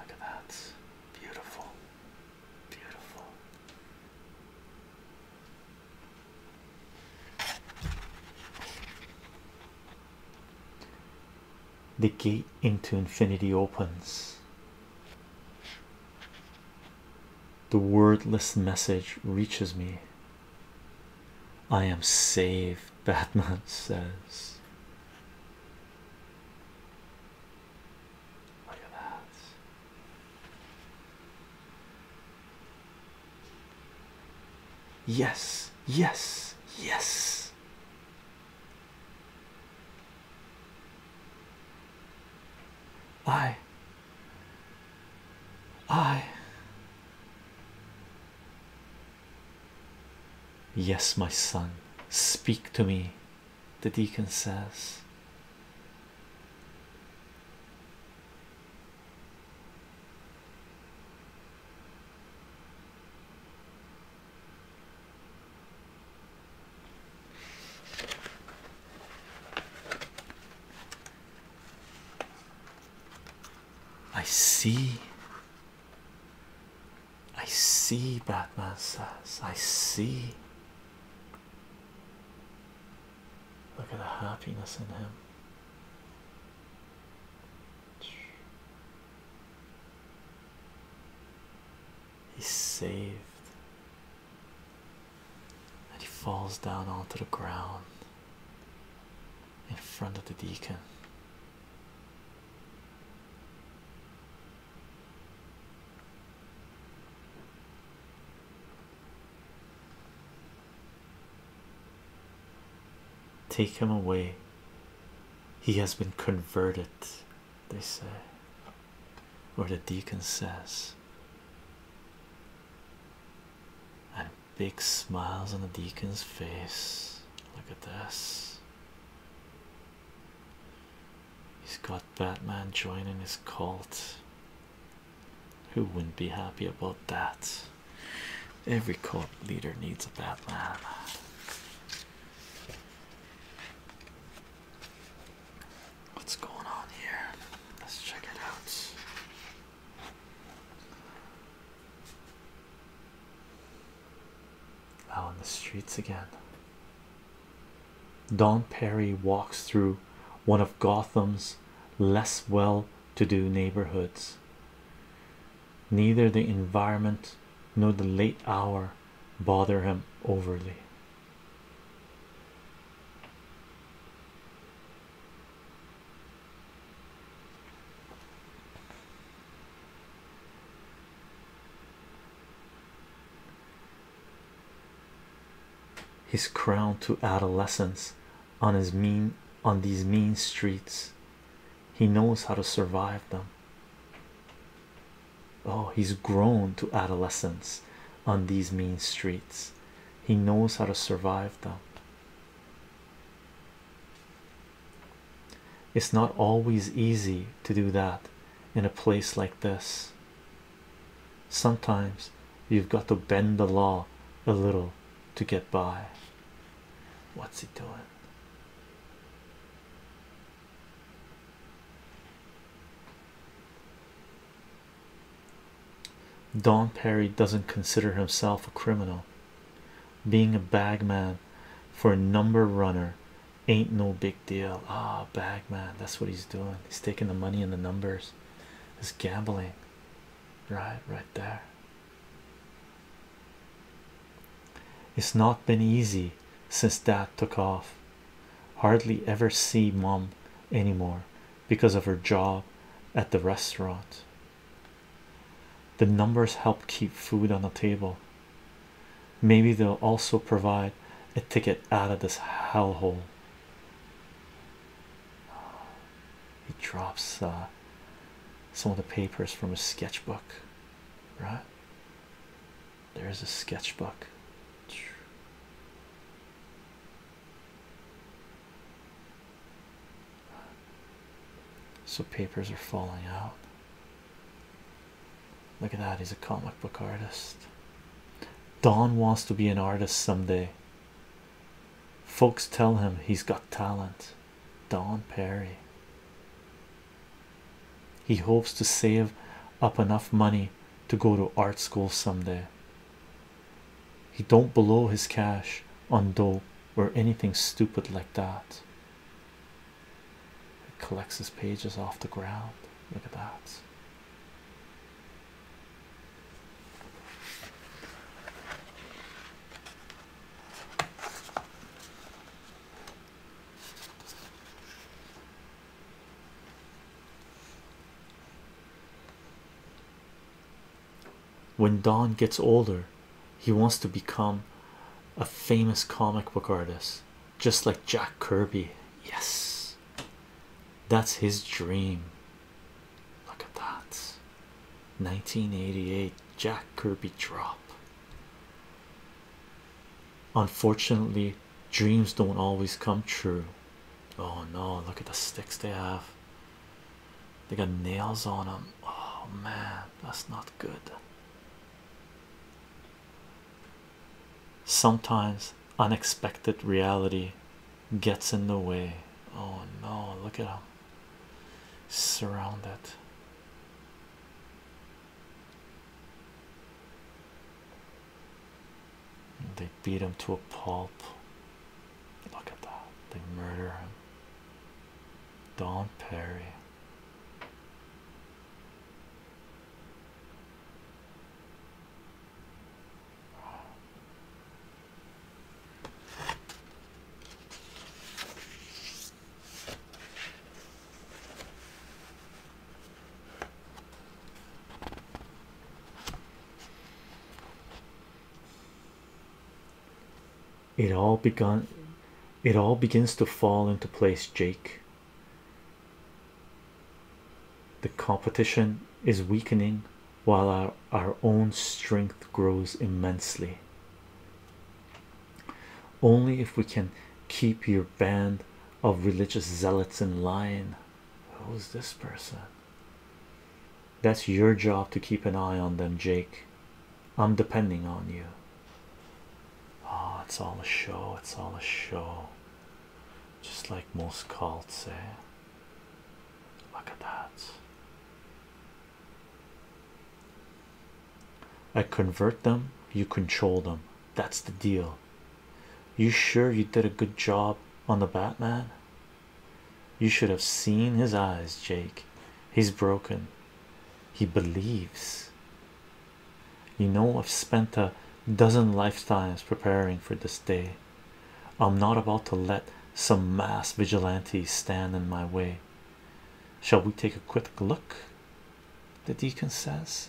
Look at that. Beautiful. Beautiful. The gate into infinity opens. The wordless message reaches me I am saved, Batman says. Yes, yes, yes. I I Yes, my son, speak to me, the deacon says. I see. I see, Batman says. I see. Look at the happiness in him. He's saved. And he falls down onto the ground in front of the deacon. Take him away. He has been converted, they say, or the deacon says. And Big smiles on the deacon's face. Look at this. He's got Batman joining his cult. Who wouldn't be happy about that? Every cult leader needs a Batman. What's going on here? Let's check it out. Out on the streets again. Don Perry walks through one of Gotham's less well to do neighborhoods. Neither the environment nor the late hour bother him overly his crown to adolescence on on these mean streets he knows how to survive them oh he's grown to adolescence on these mean streets he knows how to survive them it's not always easy to do that in a place like this. Sometimes you've got to bend the law a little to get by. What's he doing? Don Perry doesn't consider himself a criminal. Being a bagman for a number runner ain't no big deal. Ah, oh, bagman, that's what he's doing. He's taking the money and the numbers. It's gambling. Right, right there. It's not been easy since dad took off. Hardly ever see mom anymore because of her job at the restaurant. The numbers help keep food on the table. Maybe they'll also provide a ticket out of this hellhole. He drops uh, some of the papers from his sketchbook, right? There's a sketchbook. So papers are falling out. Look at that, he's a comic book artist. Don wants to be an artist someday. Folks tell him he's got talent. Don Perry. He hopes to save up enough money to go to art school someday he don't blow his cash on dope or anything stupid like that He collects his pages off the ground look at that when Don gets older, he wants to become a famous comic book artist, just like Jack Kirby. Yes, that's his dream. Look at that 1988 Jack Kirby drop. Unfortunately, dreams don't always come true. Oh no, look at the sticks they have. They got nails on them. Oh man, that's not good. Sometimes unexpected reality gets in the way. Oh no, look at him surrounded. They beat him to a pulp. Look at that. They murder him. Don Perry. It all begun it all begins to fall into place, Jake. The competition is weakening while our, our own strength grows immensely. Only if we can keep your band of religious zealots in line. Who's this person? That's your job to keep an eye on them, Jake. I'm depending on you. Oh, it's all a show, it's all a show. Just like most cults Eh? Look at that. I convert them, you control them. That's the deal. You sure you did a good job on the Batman? You should have seen his eyes, Jake. He's broken. He believes. You know, I've spent a dozen lifetimes preparing for this day. I'm not about to let some mass vigilantes stand in my way. Shall we take a quick look? The deacon says.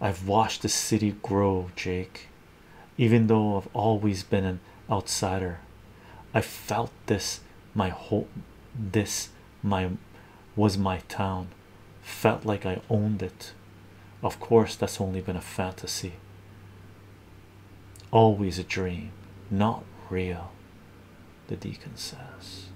I've watched the city grow, Jake even though I've always been an outsider. I felt this my whole this my was my town felt like I owned it. Of course, that's only been a fantasy. Always a dream, not real, the deacon says.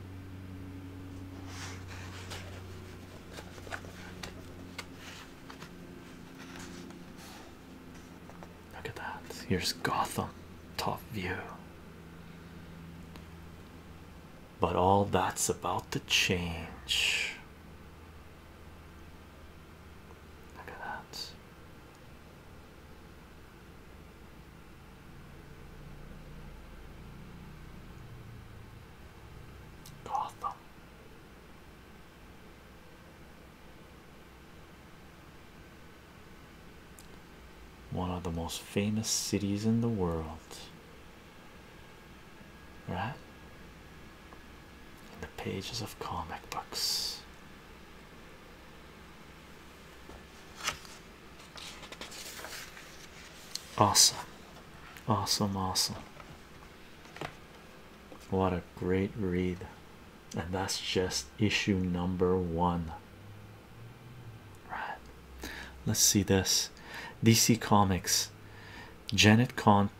Look at that. Here's Gotham, top view. But all that's about to change. Look at that. Gotham. One of the most famous cities in the world, right? In the pages of comic books. Awesome, awesome, awesome. What a great read! And that's just issue number one. Right. Let's see this. DC Comics, Janet Kahn,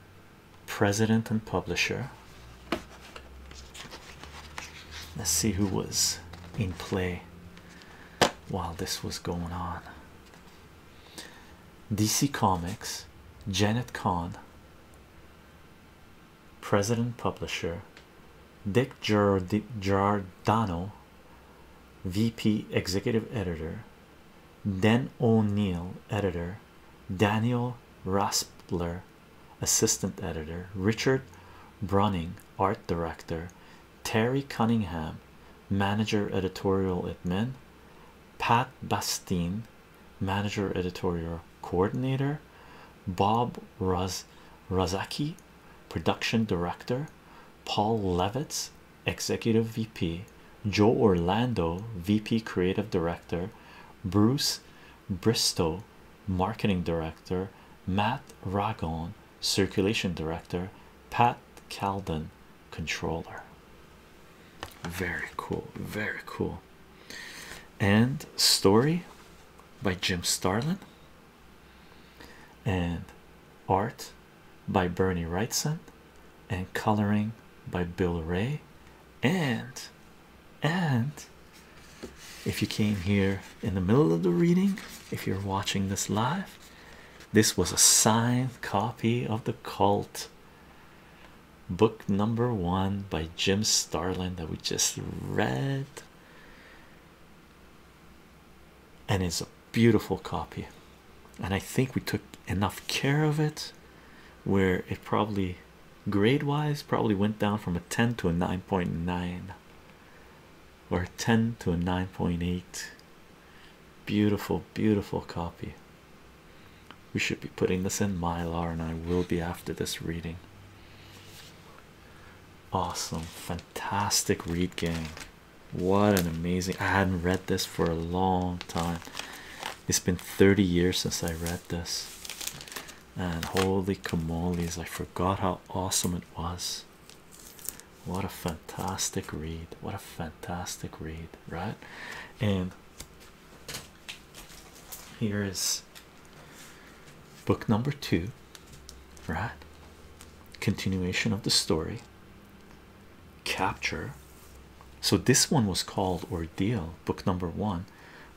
president and publisher. Let's see who was in play while this was going on. DC Comics, Janet Kahn, President Publisher, Dick Giordano, VP Executive Editor, Dan O'Neill, Editor, Daniel Raspler, Assistant Editor, Richard Brunning, Art Director, Terry Cunningham, Manager Editorial at Min, Pat Bastine, manager editorial coordinator bob Raz razaki production director paul levitz executive vp joe orlando vp creative director bruce bristow marketing director matt ragon circulation director pat calden controller. Very cool, very cool. And story by Jim Starlin and art by Bernie Wrightson and coloring by Bill Ray and and if you came here in the middle of the reading if you're watching this live this was a signed copy of the cult book number one by Jim Starlin that we just read, and it's a beautiful copy. And I think we took enough care of it where it probably grade wise probably went down from a 10 to a 9.9 or a 10 to a 9.8. Beautiful, beautiful copy. We should be putting this in Mylar, and I will be after this reading. Awesome, fantastic read game. What an amazing! I hadn't read this for a long time. It's been 30 years since I read this, and holy camoles, I forgot how awesome it was. What a fantastic read! What a fantastic read, right? And here is book number two, right? Continuation of the story. Capture. So this one was called Ordeal, book number one.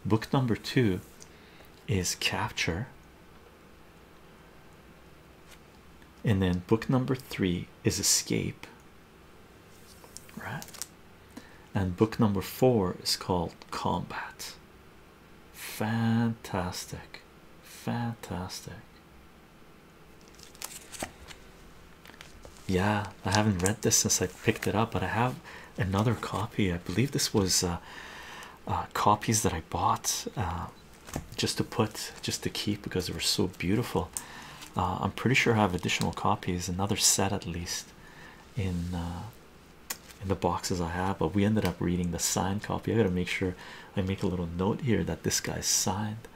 Book number two is Capture. And then book number three is Escape right? And book number four is called Combat. Fantastic, fantastic. Yeah, I haven't read this since I picked it up, but I have another copy. I believe this was uh, uh, copies that I bought uh, just to put, just to keep because they were so beautiful. I'm pretty sure I have additional copies, another set at least. Uh, in the boxes I have, but we ended up reading the signed copy. I gotta make sure I make a little note here that this guy signed.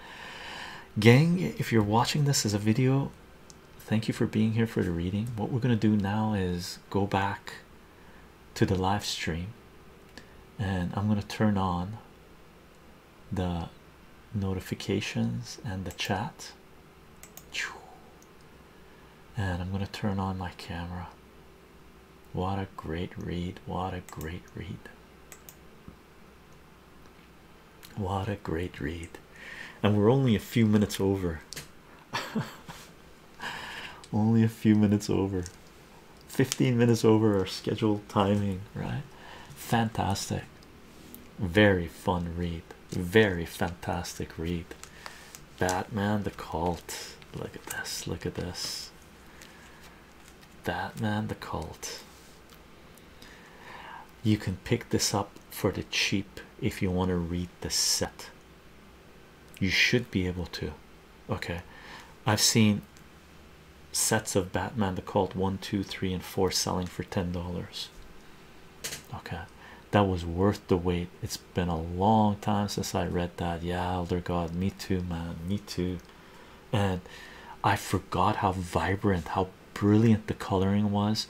Gang, if you're watching this as a video, thank you for being here for the reading. What we're gonna do now is go back to the live stream and I'm gonna turn on the notifications and the chat and I'm gonna turn on my camera. What a great read! What a great read! What a great read! And we're only a few minutes over. only a few minutes over. 15 minutes over our scheduled timing, right? Fantastic. Very fun read, very fantastic read. Batman the Cult. Look at this, look at this. Batman the Cult. You can pick this up for the cheap if you want to read the set. You should be able to. Okay, I've seen sets of Batman the Cult one, two, three, and 4 selling for $10 okay that was worth the wait it's been a long time since i read that yeah elder god me too man me too and i forgot how vibrant how brilliant the coloring was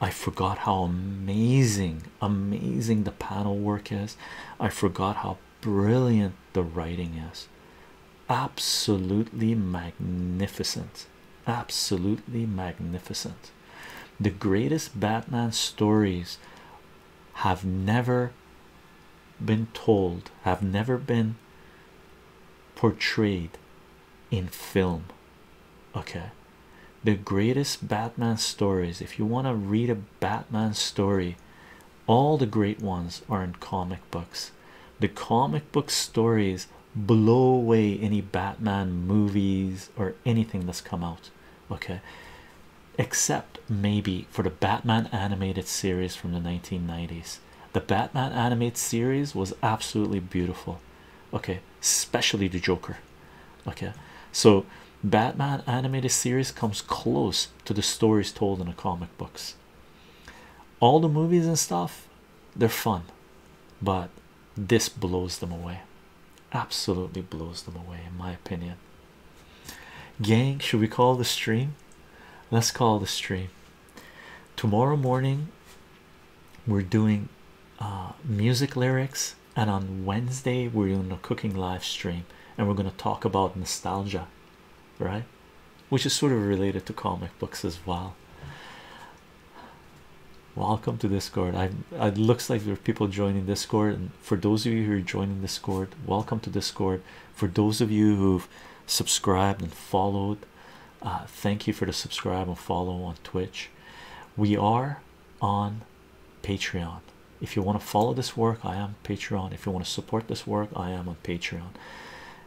i forgot how amazing amazing the panel work is i forgot how brilliant the writing is absolutely magnificent absolutely magnificent the greatest Batman stories have never been told, have never been portrayed in film. Okay, the greatest Batman stories, if you want to read a Batman story, all the great ones are in comic books. The comic book stories blow away any Batman movies or anything that's come out, okay, except maybe for the Batman animated series from the 1990s. The Batman animated series was absolutely beautiful, okay, especially the Joker, okay. So, Batman animated series comes close to the stories told in the comic books. All the movies and stuff they're fun, but this blows them away. Absolutely blows them away, in my opinion. Gang, should we call the stream? Let's call the stream. Tomorrow morning, we're doing uh, music lyrics, and on Wednesday, we're doing a cooking live stream, and we're going to talk about nostalgia, right? Which is sort of related to comic books as well. Welcome to Discord. I it looks like there are people joining Discord, and for those of you who are joining Discord, welcome to Discord. For those of you who've subscribed and followed, uh, thank you for the subscribe and follow on Twitch. We are on Patreon. If you want to follow this work, I am Patreon. If you want to support this work, I am on Patreon.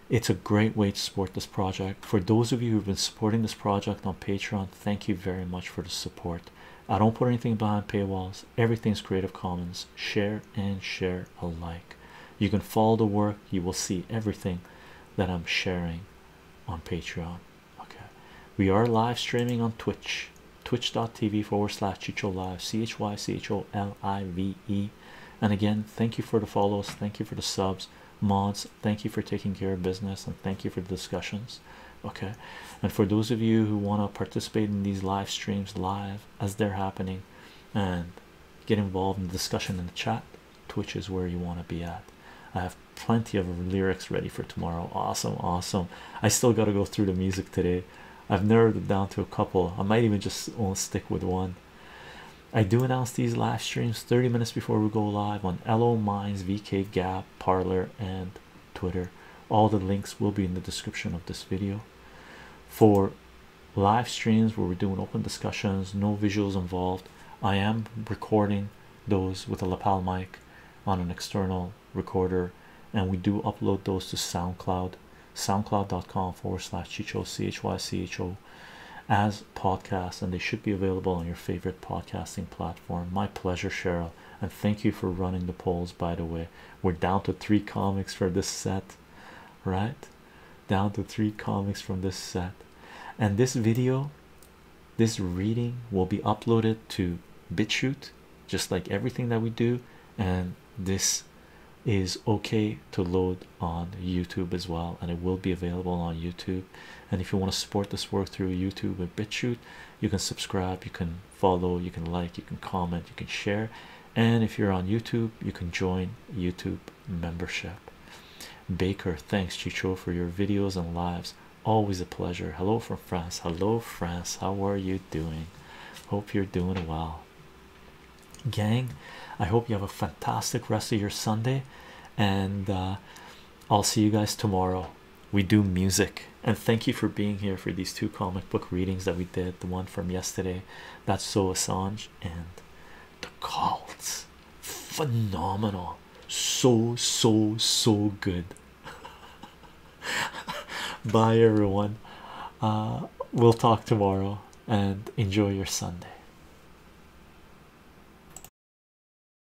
It's a great way to support this project. For those of you who've been supporting this project on Patreon, Thank you very much for the support. I don't put anything behind paywalls, everything's Creative Commons. Share and share alike. You can follow the work, you will see everything that I'm sharing on Patreon. Okay, we are live streaming on Twitch, twitch.tv forward slash Chicho Live, C H Y C H O L I V E. And again, thank you for the follows, thank you for the subs mods thank you for taking care of business and thank you for the discussions okay and for those of you who want to participate in these live streams live as they're happening and get involved in the discussion in the chat twitch is where you want to be at i have plenty of lyrics ready for tomorrow awesome awesome i still got to go through the music today i've narrowed it down to a couple i might even just only stick with one i do announce these live streams 30 minutes before we go live on lo minds vk Gap app parlor and twitter all the links will be in the description of this video for live streams where we're doing open discussions no visuals involved i am recording those with a lapel mic on an external recorder and we do upload those to soundcloud soundcloud.com forward slash chicho chycho as podcasts and they should be available on your favorite podcasting platform. My pleasure, Cheryl, and thank you for running the polls. By the way, we're down to three comics for this set, right? Down to three comics from this set, and this video, this reading will be uploaded to BitChute, just like everything that we do, and this is okay to load on YouTube as well, and it will be available on YouTube and if you want to support this work through youtube and bitchute you can subscribe you can follow you can like you can comment you can share and if you're on youtube you can join youtube membership baker thanks chicho for your videos and lives always a pleasure hello from france hello france how are you doing hope you're doing well gang i hope you have a fantastic rest of your sunday and uh, I'll see you guys tomorrow. We do music, and thank you for being here for these two comic book readings that we did the one from yesterday that's So Assange and The cults Phenomenal, so so so good. Bye, everyone. Uh, we'll talk tomorrow and enjoy your Sunday.